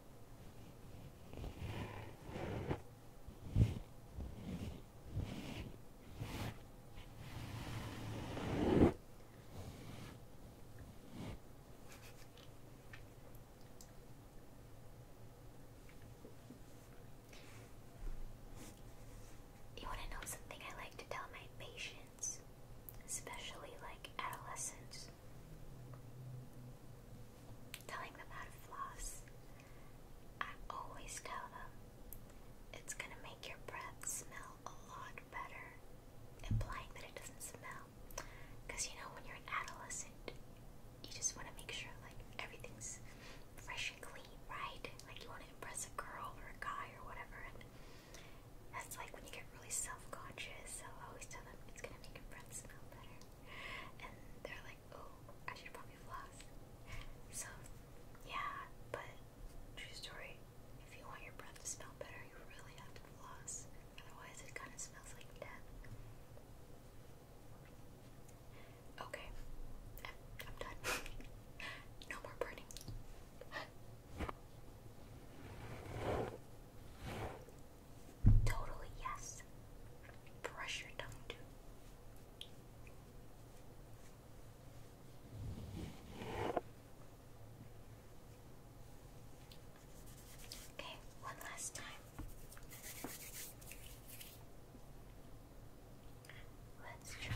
You want to know something I like to tell my patients, especially like adolescents? Telling them how to floss. I always tell them it's going to make your breath smell a lot better, implying that it doesn't smell. Because you know, when you're an adolescent, you just want to make sure like everything's fresh and clean, right? Like you want to impress a girl or a guy or whatever, and that's like when you get really self-conscious. So I always tell them it's gonna make your breath smell better, and they're like, "Oh, I should probably floss." So yeah, but true story. If you want your breath to smell better, you really have to floss. Otherwise, it kind of smells like death. Okay, I'm, done. no more burning. Totally yes. Brush your tongue too. Okay, one last time. Let's try.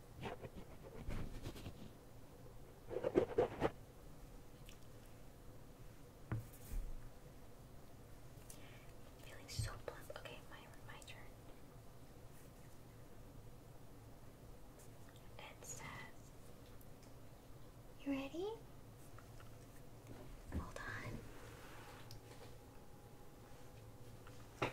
feeling so plump. Okay, my my turn. It says, "You ready? Hold on."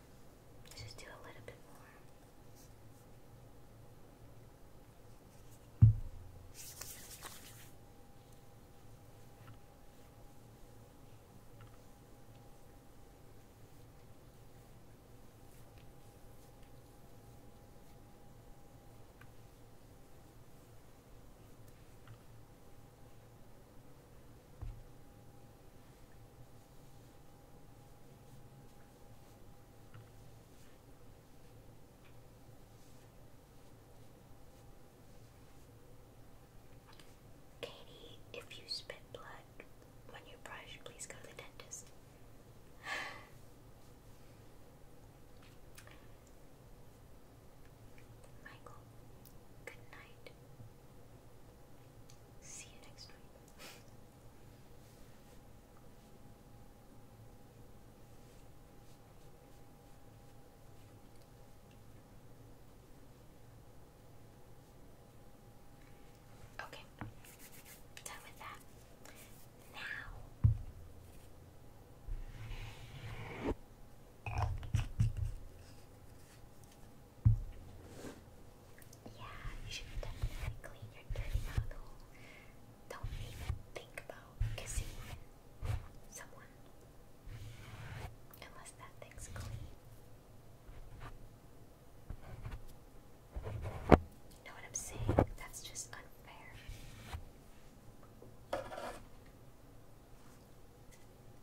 Let's just do a little bit more. Katie, if you spit blood when you brush, please go to the dentist. Michael, good night. See you next time. Okay, done with that. Now. Yeah, you should definitely clean your dirty mouth hole. Don't even think about kissing someone. Unless that thing's clean. You know what I'm saying? That's just unfair.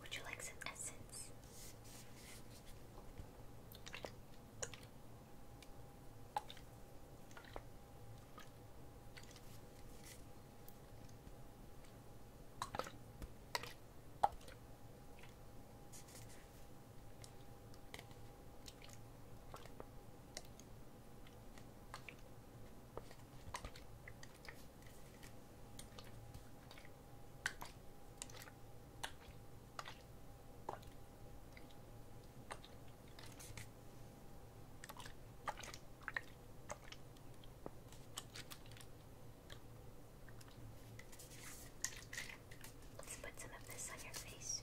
Would you like some essence? Let's put some of this on your face.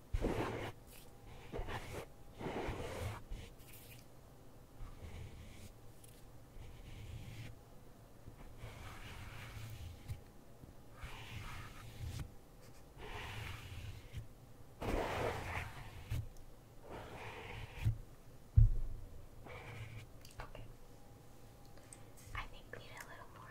Okay. I think we need a little more.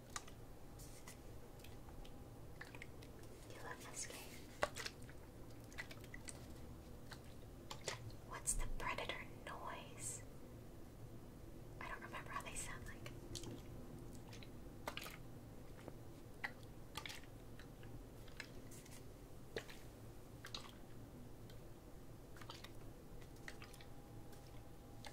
You love this game. What's the predator noise? I don't remember how they sound like.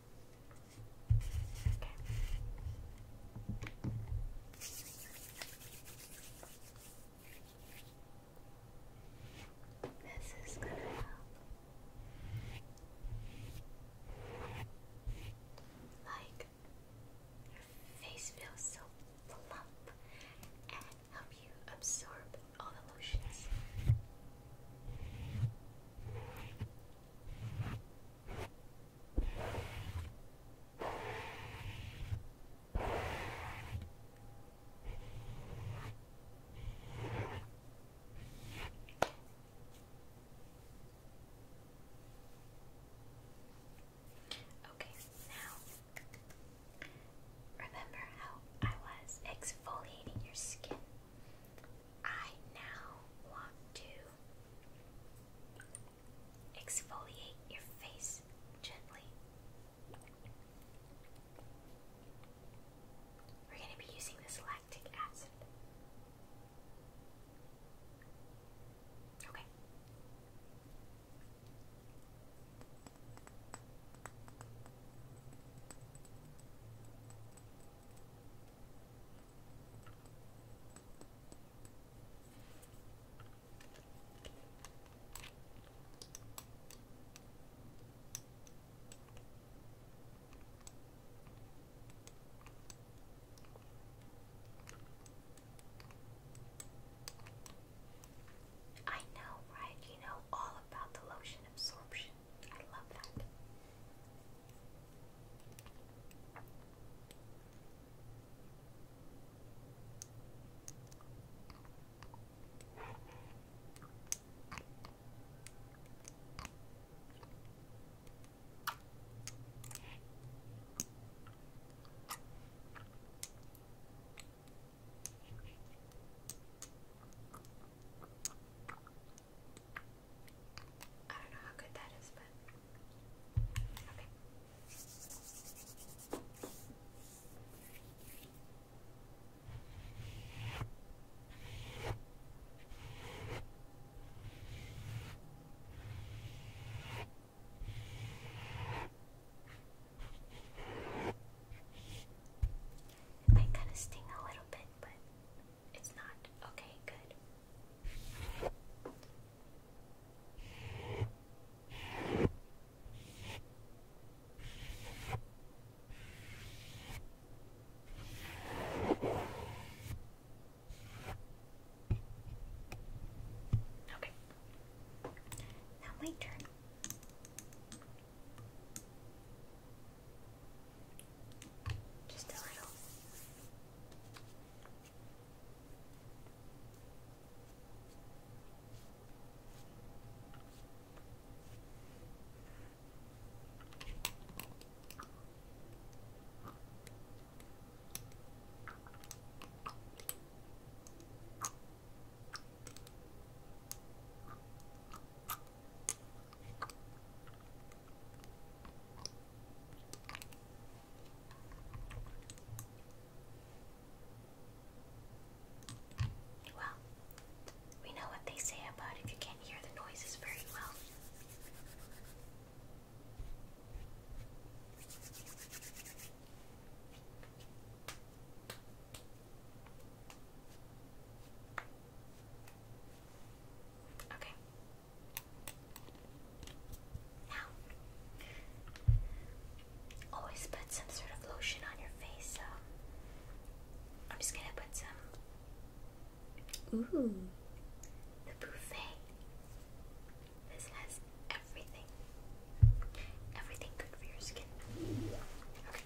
Okay. This is gonna help like your face feels so plump and help you absorb all the lotions. Okay, now remember how I was exfoliating your skin I now want to exfoliate your face gently. We're going to be using this lactic acid. Okay. I know, right? You know all about the lotion absorption. I love that. I don't know how good that is, but It might kind of sting a little bit, but it's not. Okay, good. Okay. Now my turn. Just a little. Well, we know what they say about if you can't hear the noises very well. Okay, now, always put some sort of lotion on your face, so um, I'm just gonna put some. Ooh, the buffet. This has everything. Everything good for your skin. Okay.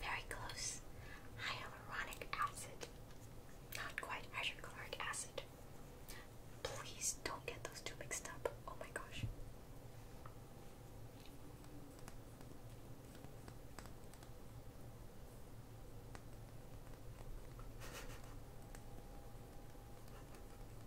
Very close. Hyaluronic acid. Not quite hydrochloric acid. Please don't get those two mixed up. Oh my gosh.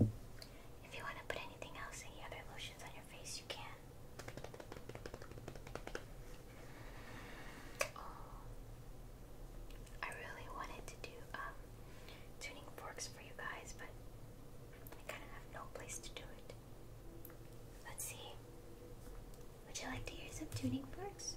If you want to put anything else, any other lotions on your face, you can. Oh, I really wanted to do um, tuning forks for you guys, but I kind of have no place to do it. Let's see. Would you like to hear some tuning forks?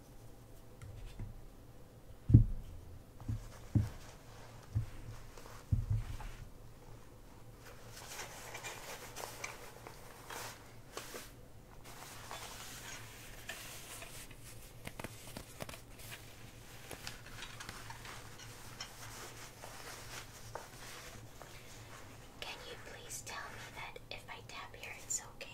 can you please tell me that if I tap here, it's okay?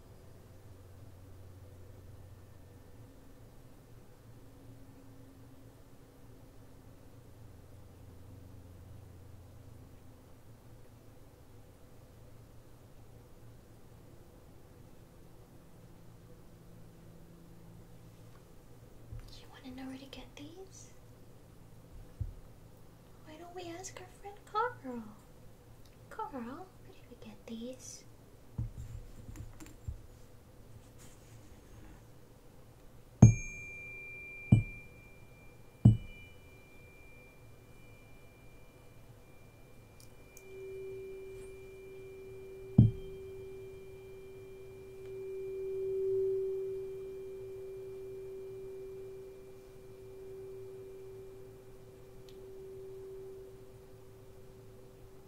You want to know where to get these? Why don't we ask our friend Carl? Carl, where did we get these?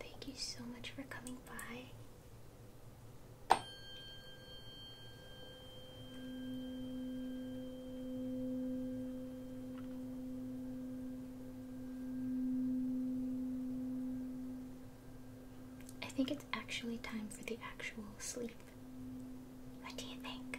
Thank you so much for coming by. I think it's actually time for the actual sleep. What do you think?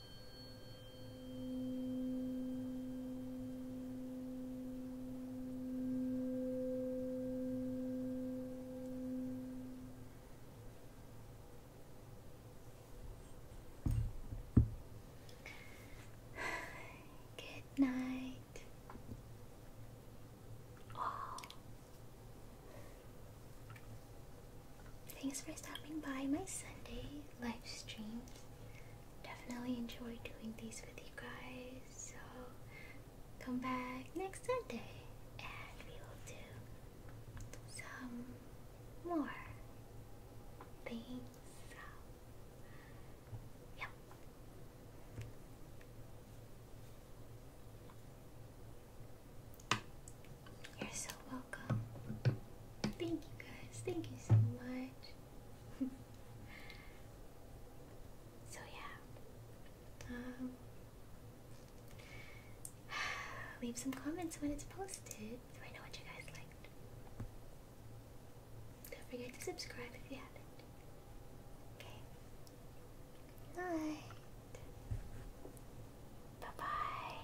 Good night. Oh. Thanks for stopping by my Sunday live stream definitely enjoy doing these with you guys. So come back next Sunday and we will do some more things. yep. You're so welcome. Thank you guys. Thank you so much. so yeah. leave um, some comments when it's posted so I know what you guys liked. Don't forget to subscribe if you haven't. Okay. Night. Bye bye.